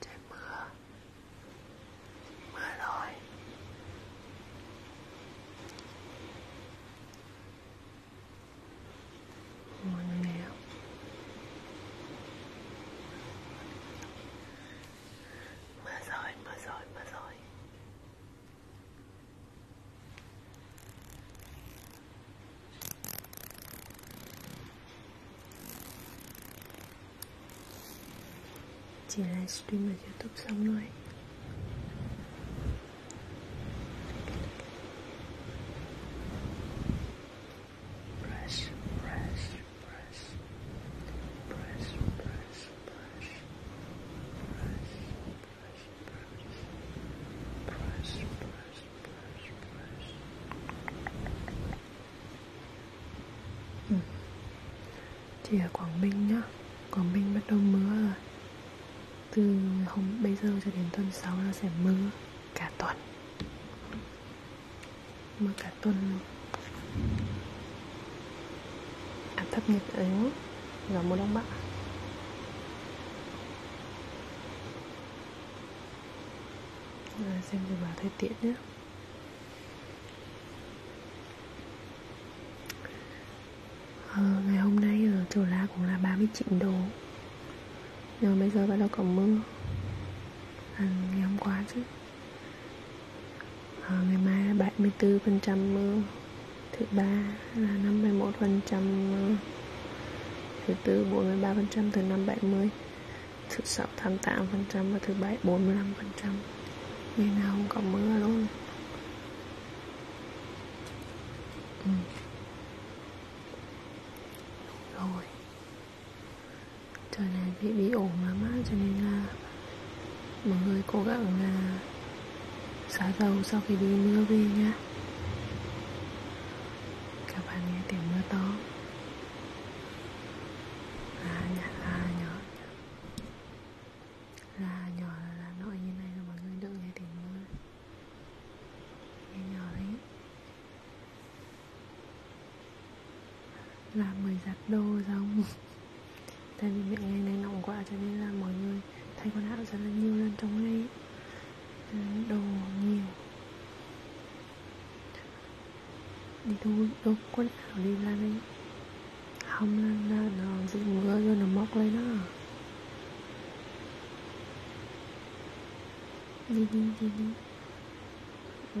Trời mưa Mưa rồi Ngồi nghèo Mưa rồi, mưa rồi, mưa rồi chỉ livestream ở youtube xong thôi Press, press, press, press, press. Ừ. Chị ở Quảng Bình nhá Quảng Bình bắt đầu mưa rồi Từ hôm bây giờ cho đến tuần 6 là sẽ mưa cả tuần Mưa cả tuần áp à, thấp nhiệt đới gió mùa đông bắc Rồi xem dự báo thời tiết nhé à, ngày hôm nay ở Chùa La cũng là 39 độ nhưng mà bây giờ bắt đầu có mưa à, ngày hôm qua chứ à, ngày mai là 74% mưa ờ, thứ ba là 51% mưa ờ, thứ tư 43% thứ năm 70 thứ sáu 88% và thứ bảy 45% ngày nào không có mưa luôn ừ. rồi trời này bị bị ổn lắm á cho nên là mọi người cố gắng là xả dầu sau khi đi mưa về nhé các bạn nghe tiếng mưa to là nhá là nhỏ là nhỏ là, là nội như này là mọi người đừng nghe tiếng mưa nghe nhỏ đấy là mười giặt đồ xong tại vì mẹ ngày này nóng quá cho nên là mọi người thay quần áo rất là nhiều lần trong ngày đồ nhiều đi thu đồ quần áo đi là đấy không là, là nó dính mưa rồi nó móc lên đó đi đi đi đi ừ.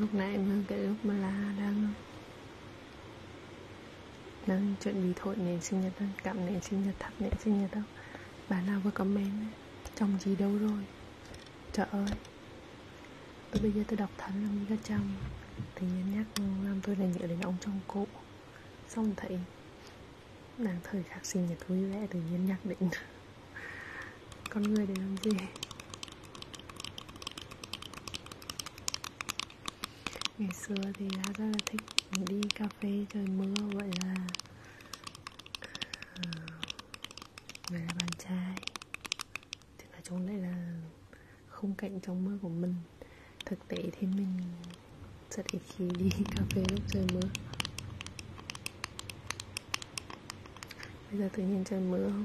lúc nãy em cái lúc mà là đang đang chuẩn bị thổi nến sinh nhật cảm nến sinh nhật thắp nến sinh nhật đâu bà nào vừa comment chồng gì đâu rồi trời ơi tôi bây giờ tôi đọc thánh long ga trong thì nhân nhắc làm tôi là nhớ đến ông trong cụ xong thấy nàng thời khắc sinh nhật vui vẻ tự nhiên nhắc đến con người để làm gì ngày xưa thì đã rất là thích đi cà phê trời mưa vậy là uh, ờ, vậy là bạn trai thì là chỗ này là khung cảnh trong mưa của mình thực tế thì mình rất ít khi đi cà phê lúc trời mưa bây giờ tự nhiên trời mưa không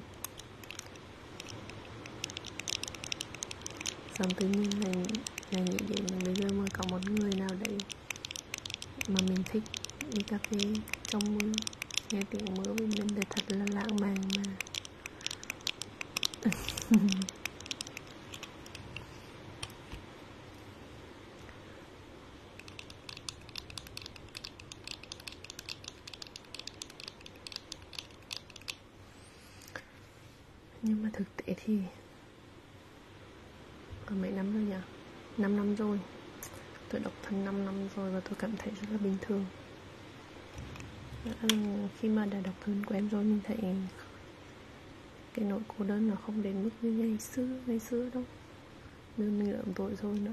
xong tự nhiên là, là nghĩ đến là bây giờ mà có một người nào đấy mà mình thích đi cà phê trong mưa nghe tiếng mưa với mình là thật là lãng mạn mà nhưng mà thực tế thì còn mấy năm rồi nhỉ 5 năm rồi tôi độc thân 5 năm rồi và tôi cảm thấy rất là bình thường khi mà đã đọc hơn của em rồi mình thấy cái nỗi cô đơn nó không đến mức như ngày xưa ngày xưa đâu nên mình lợm tội rồi nữa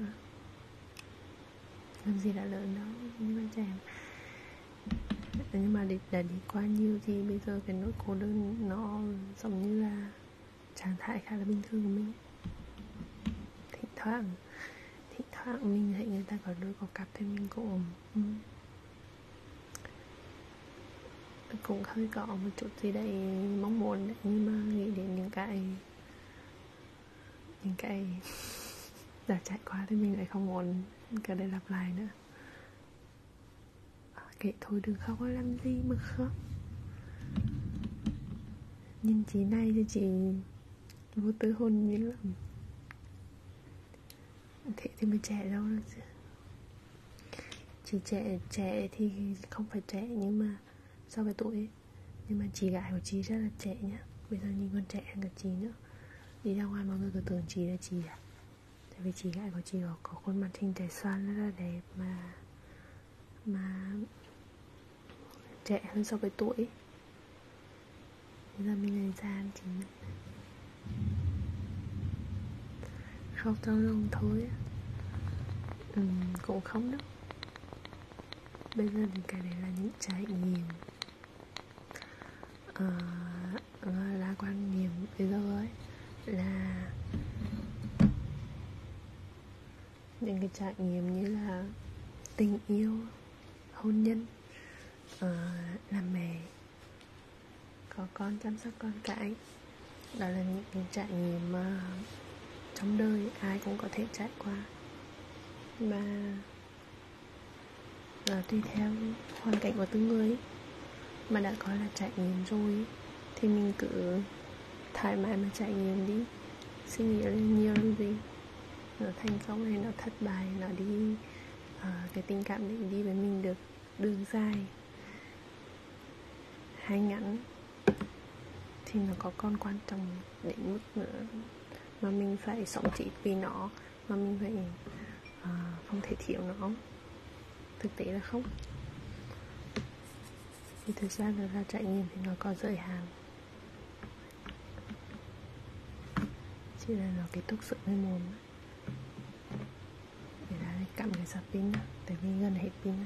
làm gì đã lớn đâu nhưng mà chèm nhưng mà để đã đi qua nhiều thì bây giờ cái nỗi cô đơn nó giống như là trạng thái khá là bình thường của mình thỉnh thoảng thì thoảng mình thấy người ta có đôi có cặp thì mình cũng ừ. cũng hơi có một chút gì đấy mong muốn đấy nhưng mà nghĩ đến những cái những cái đã chạy quá thì mình lại không muốn cái đây lặp lại nữa à, kệ thôi đừng khóc làm gì mà khóc nhìn chị này thì chị vô tư hồn nhiên lắm thế thì mới trẻ đâu được chứ chỉ trẻ trẻ thì không phải trẻ nhưng mà so với tuổi nhưng mà chị gái của chị rất là trẻ nhá bây giờ nhìn con trẻ hơn cả chị nữa đi ra ngoài mọi người cứ tưởng chị là chị à tại vì chị gái của chị có, có khuôn mặt hình trẻ xoan rất là đẹp mà mà trẻ hơn so với tuổi bây giờ mình lấy ra chính không trong lòng thôi ừ, cũng không đâu bây giờ thì cái đấy là những trải nghiệm à, là quan niệm bây giờ ấy là những cái trải nghiệm như là tình yêu hôn nhân uh, ờ, làm mẹ có con chăm sóc con cái đó là những cái trải nghiệm mà trong đời ai cũng có thể trải qua và là ờ, tùy theo hoàn cảnh của từng người mà đã có là trải nghiệm rồi thì mình cứ thoải mái mà trải nghiệm đi suy nghĩ lên nhiều làm gì nó thành công hay nó thất bại nó đi uh, cái tình cảm đấy đi với mình được đường dài hay ngắn thì nó có còn quan trọng đến mức nữa mà mình phải sống chỉ vì nó mà mình phải uh, không thể thiếu nó thực tế là không thì thực ra là ra trải nghiệm thì nó có giới hạn chỉ là nó cái thuốc sữa lên mồm ấy. để ra cặm cái sạc pin đó, tại vì gần hết pin đó.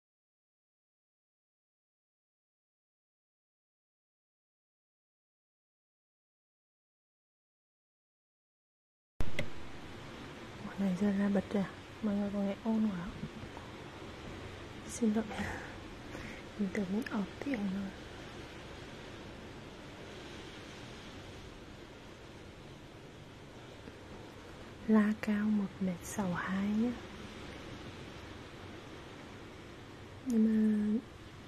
Quả này ra ra bật ra à? Mọi người có nghe ôn quá Xin lỗi Mình tưởng mình ọp tiếng rồi La cao 1m62 nhé nhưng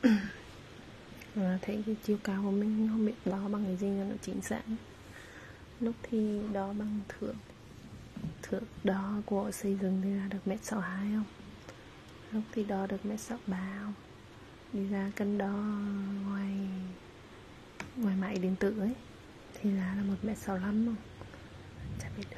mà à, thấy cái chiều cao của mình không biết đo bằng cái gì cho nó chính xác lúc thì đo bằng thước thước đo của xây dựng thì ra được mét sáu hai không lúc thì đo được mét sáu ba không đi ra cân đo ngoài ngoài máy điện tử ấy thì là là một mét sáu lăm không chả biết được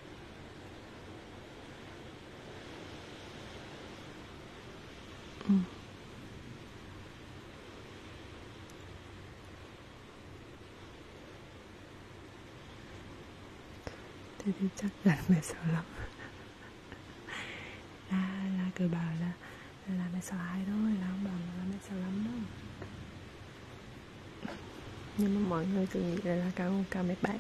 ừ. thế thì chắc chắn mẹ sợ lắm là là cứ bảo là là mẹ sợ ai thôi là không bảo là mẹ sợ lắm đâu nhưng mà mọi người cứ nghĩ là, là cao cao mấy bạn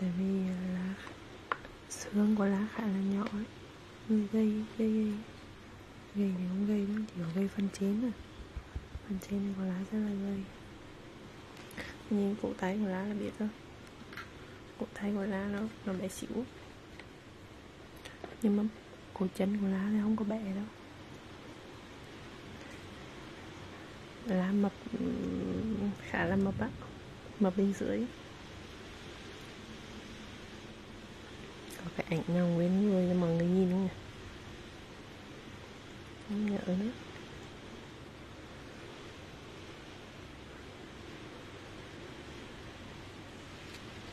tại vì à, lá xương của lá khá là nhỏ ấy gây gây gây gây thì không gây nữa chỉ có gây phân chín thôi phần trên này của lá rất là gây nhìn cụ tay của lá là biết rồi cụ tay của lá nó nó bé xỉu nhưng mà cổ chân của lá thì không có bẻ đâu lá mập khá là mập á mập bên dưới có cái ảnh nào nguyên người cho mọi người nhìn không nhỉ không nhớ nữa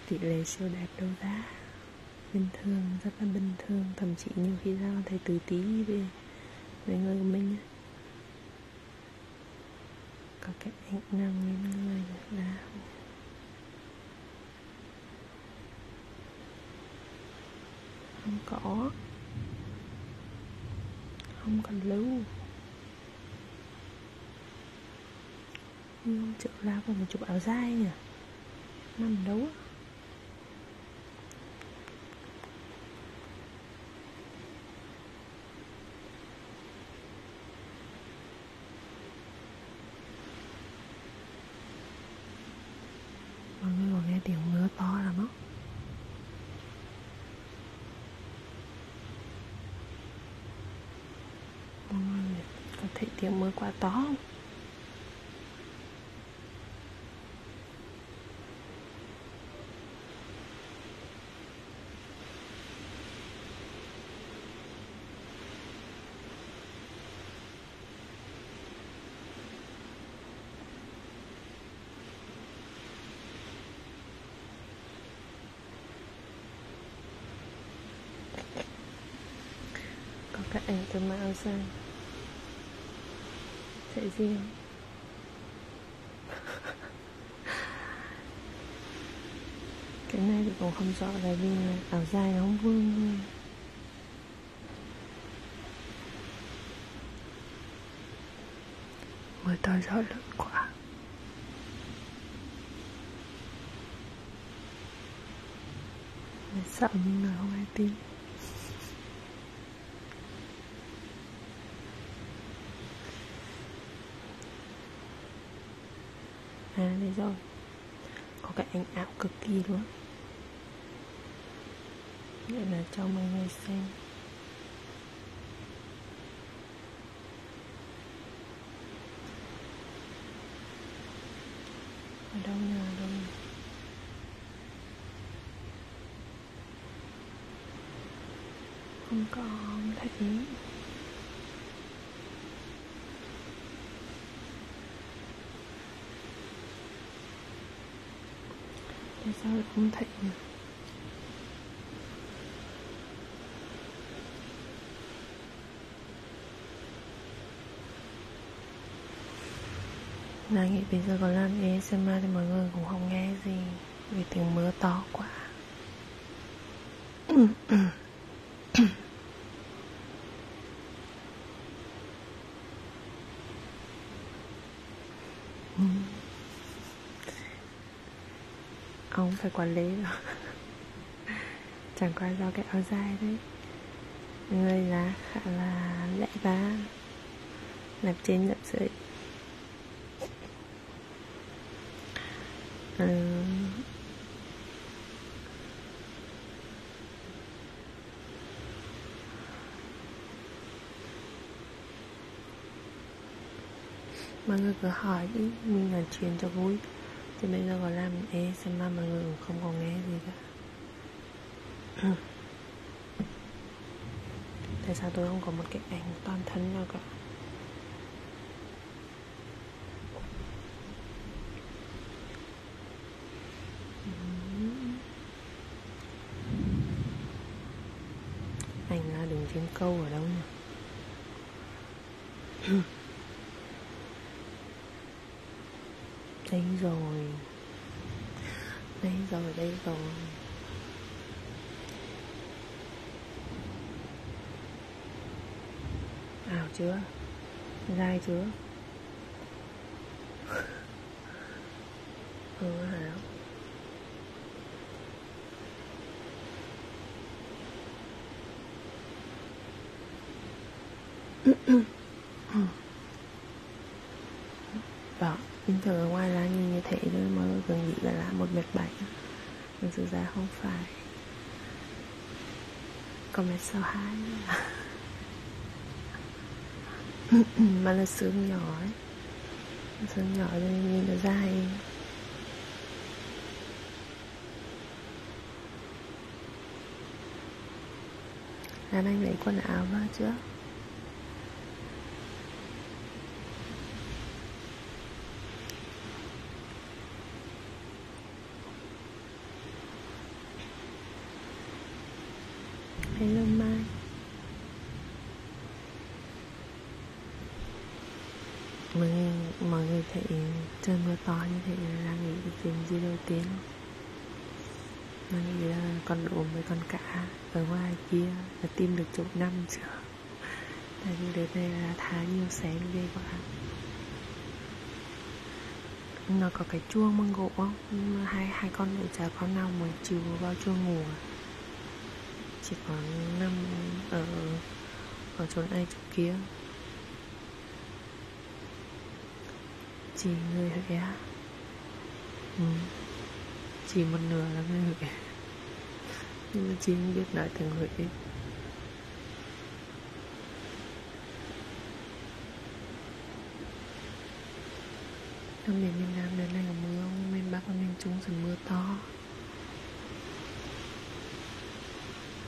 tỷ lệ siêu đạt đấu giá bình thường rất là bình thường thậm chí nhiều khi ra thầy từ tí về về người của mình á có cái ảnh nằm lên người là không có không còn lưu 5 triệu la còn một chục áo dai nhỉ nằm đấu á mọi người còn nghe tiếng mưa to lắm á uhm, có thấy tiếng mưa quá to không có cả ảnh tôi mặc áo dài sẽ riêng cái này thì cũng không rõ là vì áo dài nó không vương thôi Ôi tôi giỏi lớn quá sợ nhưng mà không ai tin à đây rồi có cái ảnh ảo cực kỳ luôn vậy là cho mọi người xem ở đâu nhờ ở đâu nhờ không có không thấy tại sao lại không thấy nhỉ là nghĩ bây giờ có làm ASMR thì mọi người cũng không nghe gì Vì tiếng mưa to quá Ông phải quản lý rồi chẳng qua do cái áo dài đấy người là khá là lẽ vá lập trên lập dưới ừ. mọi người cứ hỏi đi mình nói chuyện cho vui thì bây giờ có làm ASMR mọi người cũng không còn nghe gì cả tại sao tôi không có một cái ảnh toàn thân nào cả ảnh là đường trên câu ở đâu nhỉ Đấy rồi Đấy rồi, đấy rồi Ảo chưa? Dai chưa? ừ, hả? đó bình thường ở ngoài là nhìn như thế thôi mà gần như là là một mét bảy nhưng thực ra không phải có mét sáu hai mà là xương nhỏ ấy xương nhỏ thì nhìn nó dài Lan Anh lấy quần áo vào trước Hello Mai Mọi người, mọi người thấy trên người to như thế là nghĩ cái chuyện gì đầu tiên nó nghĩ là con ốm với con cả ở ngoài kia là tìm được chỗ năm chưa tại vì đợt này là thả nhiều sáng ghê quá nó có cái chuông bằng gỗ không hai hai con nội chả con nào mới chiều vào chuông ngủ à? chỉ có năm ở ở chỗ này chỗ kia chỉ người Huế ừ. Chỉ một nửa là người Huế Nhưng mà chị không biết nói tiếng Huế Ở miền miền Nam đến nay có mưa không? Miền Bắc và miền Trung sẽ mưa to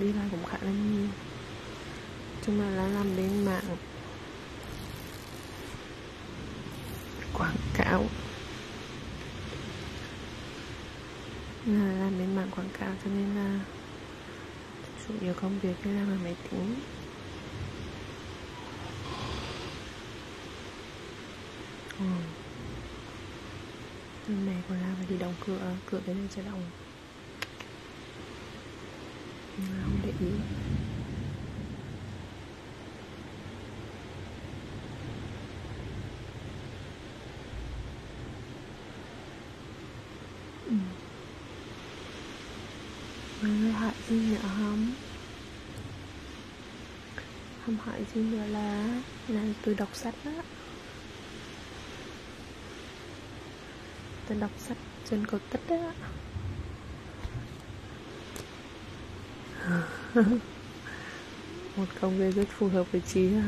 đi lại cũng khá là nhiều chúng ta đã làm bên mạng quảng cáo là làm bên mạng quảng cáo cho nên là chủ yếu công việc là làm máy tính ừ. mẹ của la phải đi đóng cửa cửa cái này sẽ đóng không để ý ừ. Người hại gì nữa không? Không hại gì nữa là Là tôi đọc sách á tôi đọc sách trên cổ tích đó một công việc rất phù hợp với chị ha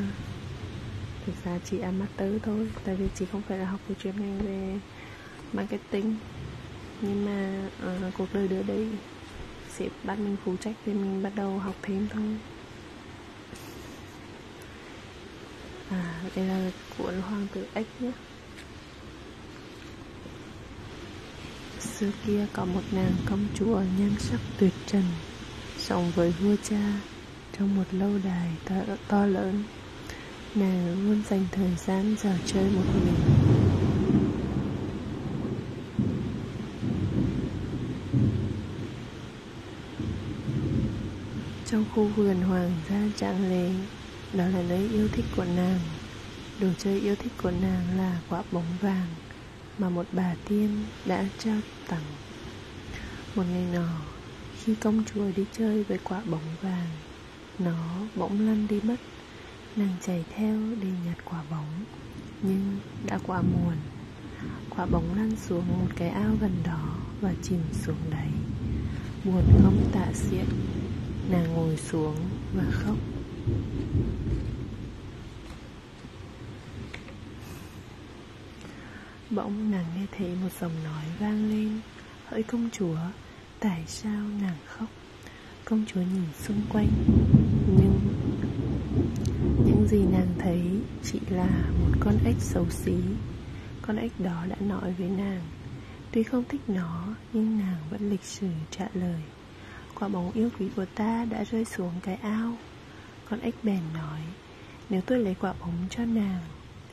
thực ra chị ăn master thôi tại vì chị không phải là học về chuyên ngành về marketing nhưng mà uh, cuộc đời đưa đi sếp bắt mình phụ trách thì mình bắt đầu học thêm thôi à đây là cuốn hoàng tử ếch nhé xưa kia có một nàng công chúa nhan sắc tuyệt trần sống với vua cha trong một lâu đài to, to lớn nàng luôn dành thời gian giờ chơi một mình trong khu vườn hoàng gia trạng lệ Đó là nơi yêu thích của nàng Đồ chơi yêu thích của nàng là quả bóng vàng Mà một bà tiên đã trao tặng Một ngày nọ Khi công chúa đi chơi với quả bóng vàng Nó bỗng lăn đi mất Nàng chạy theo để nhặt quả bóng Nhưng đã quá muộn Quả bóng lăn xuống một cái ao gần đó và chìm xuống đáy buồn không tạ xiết nàng ngồi xuống và khóc bỗng nàng nghe thấy một giọng nói vang lên hỡi công chúa tại sao nàng khóc công chúa nhìn xung quanh nhưng những gì nàng thấy chỉ là một con ếch xấu xí con ếch đó đã nói với nàng Tuy không thích nó Nhưng nàng vẫn lịch sử trả lời Quả bóng yêu quý của ta đã rơi xuống cái ao Con ếch bèn nói Nếu tôi lấy quả bóng cho nàng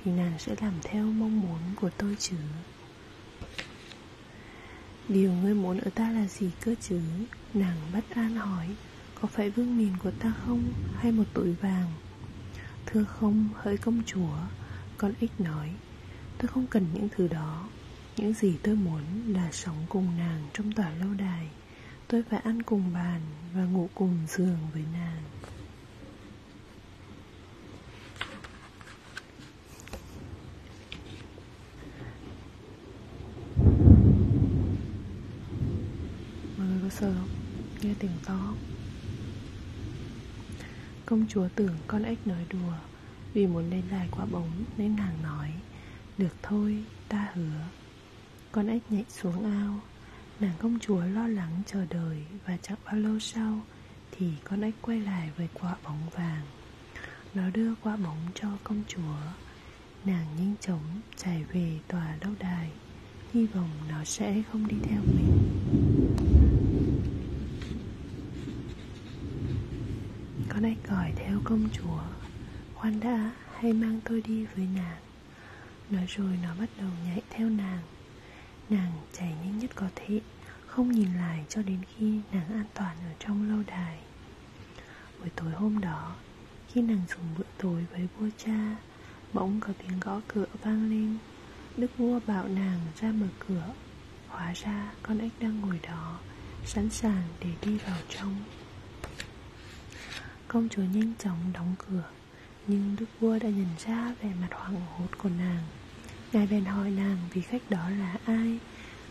Thì nàng sẽ làm theo mong muốn của tôi chứ Điều ngươi muốn ở ta là gì cơ chứ Nàng bất an hỏi Có phải vương miền của ta không Hay một túi vàng Thưa không, hỡi công chúa Con ích nói Tôi không cần những thứ đó Những gì tôi muốn là sống cùng nàng trong tòa lâu đài Tôi phải ăn cùng bàn và ngủ cùng giường với nàng Mọi người có sợ không? Nghe tiếng to không? Công chúa tưởng con ếch nói đùa Vì muốn lên đài quả bóng Nên nàng nói Được thôi, ta hứa Con ếch nhảy xuống ao Nàng công chúa lo lắng chờ đợi Và chẳng bao lâu sau Thì con ếch quay lại với quả bóng vàng Nó đưa quả bóng cho công chúa Nàng nhanh chóng chạy về tòa lâu đài hy vọng nó sẽ không đi theo mình con hãy cõi theo công chúa khoan đã hãy mang tôi đi với nàng nói rồi nó bắt đầu nhảy theo nàng nàng chạy nhanh nhất có thể không nhìn lại cho đến khi nàng an toàn ở trong lâu đài buổi tối hôm đó khi nàng dùng bữa tối với vua cha Bỗng có tiếng gõ cửa vang lên Đức vua bảo nàng ra mở cửa Hóa ra con ếch đang ngồi đó Sẵn sàng để đi vào trong Công chúa nhanh chóng đóng cửa Nhưng đức vua đã nhận ra vẻ mặt hoảng hốt của nàng Ngài bèn hỏi nàng vì khách đó là ai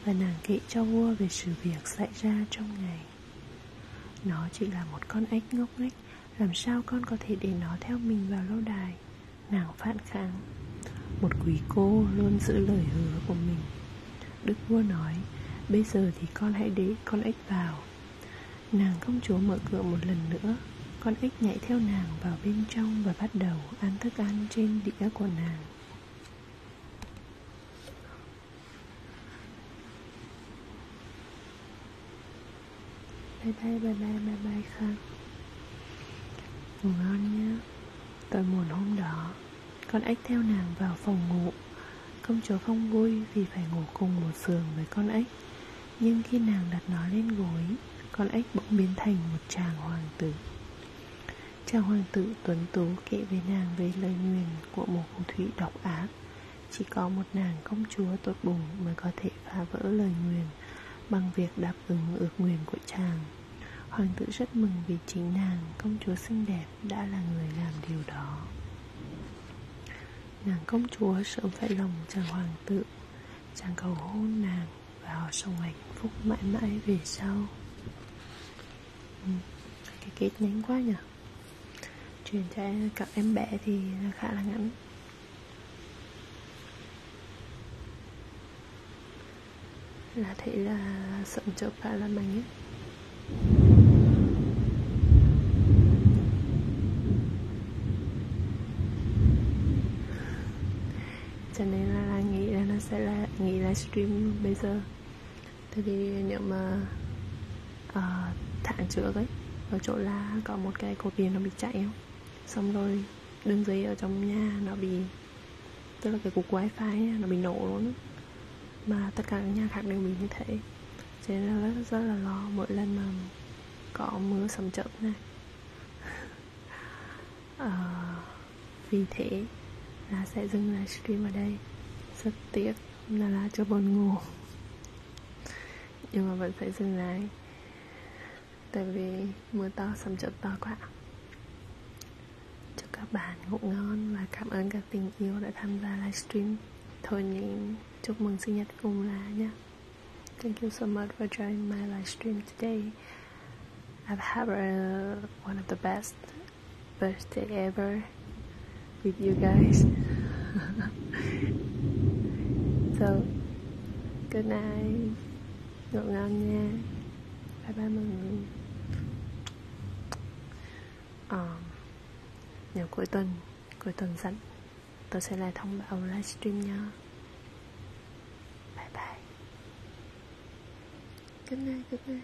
Và nàng kể cho vua về sự việc xảy ra trong ngày Nó chỉ là một con ếch ngốc nghếch làm sao con có thể để nó theo mình vào lâu đài Nàng phản kháng Một quý cô luôn giữ lời hứa của mình Đức vua nói Bây giờ thì con hãy để con ếch vào Nàng công chúa mở cửa một lần nữa Con ếch nhảy theo nàng vào bên trong Và bắt đầu ăn thức ăn trên đĩa của nàng bye bye bye bye bye bye khang ngủ ngon nhé tội muộn hôm đó con ếch theo nàng vào phòng ngủ công chúa không vui vì phải ngủ cùng một giường với con ếch nhưng khi nàng đặt nó lên gối con ếch bỗng biến thành một chàng hoàng tử chàng hoàng tử tuấn tú kể với nàng về lời nguyền của một phù thủy độc ác chỉ có một nàng công chúa tốt bụng mới có thể phá vỡ lời nguyền bằng việc đáp ứng ước nguyện của chàng hoàng tử rất mừng vì chính nàng công chúa xinh đẹp đã là người làm điều đó nàng công chúa sớm phải lòng chàng hoàng tử chàng cầu hôn nàng và họ sống hạnh phúc mãi mãi về sau ừ, cái kết nhanh quá nhỉ truyền cho các em bé thì khá là ngắn là thấy là sợn chợp cả là mình ấy cho nên là, là nghĩ là nó sẽ là nghỉ livestream bây giờ tại vì nếu mà uh, thả trước ấy ở chỗ là có một cái cột điện nó bị chạy không xong rồi đường dây ở trong nhà nó bị tức là cái cục wifi nó bị nổ luôn mà tất cả các nhà khác đều bị như thế cho nên rất, rất là lo mỗi lần mà có mưa sầm chậm này à, vì thế là sẽ dừng lại stream ở đây rất tiếc là là cho buồn ngủ nhưng mà vẫn phải dừng lại Tại vì mưa to sầm chợt to quá Chúc các bạn ngủ ngon Và cảm ơn các tình yêu đã tham gia livestream Thôi nhé Chúc mừng sinh nhật cùng là nhé Thank you so much for joining my livestream today I've had a, one of the best birthday ever with you guys so Good night Ngủ ngon nha Bye bye mọi người à, ờ, Nếu cuối tuần Cuối tuần rảnh Tôi sẽ lại thông báo livestream nha Bye bye Good night, good night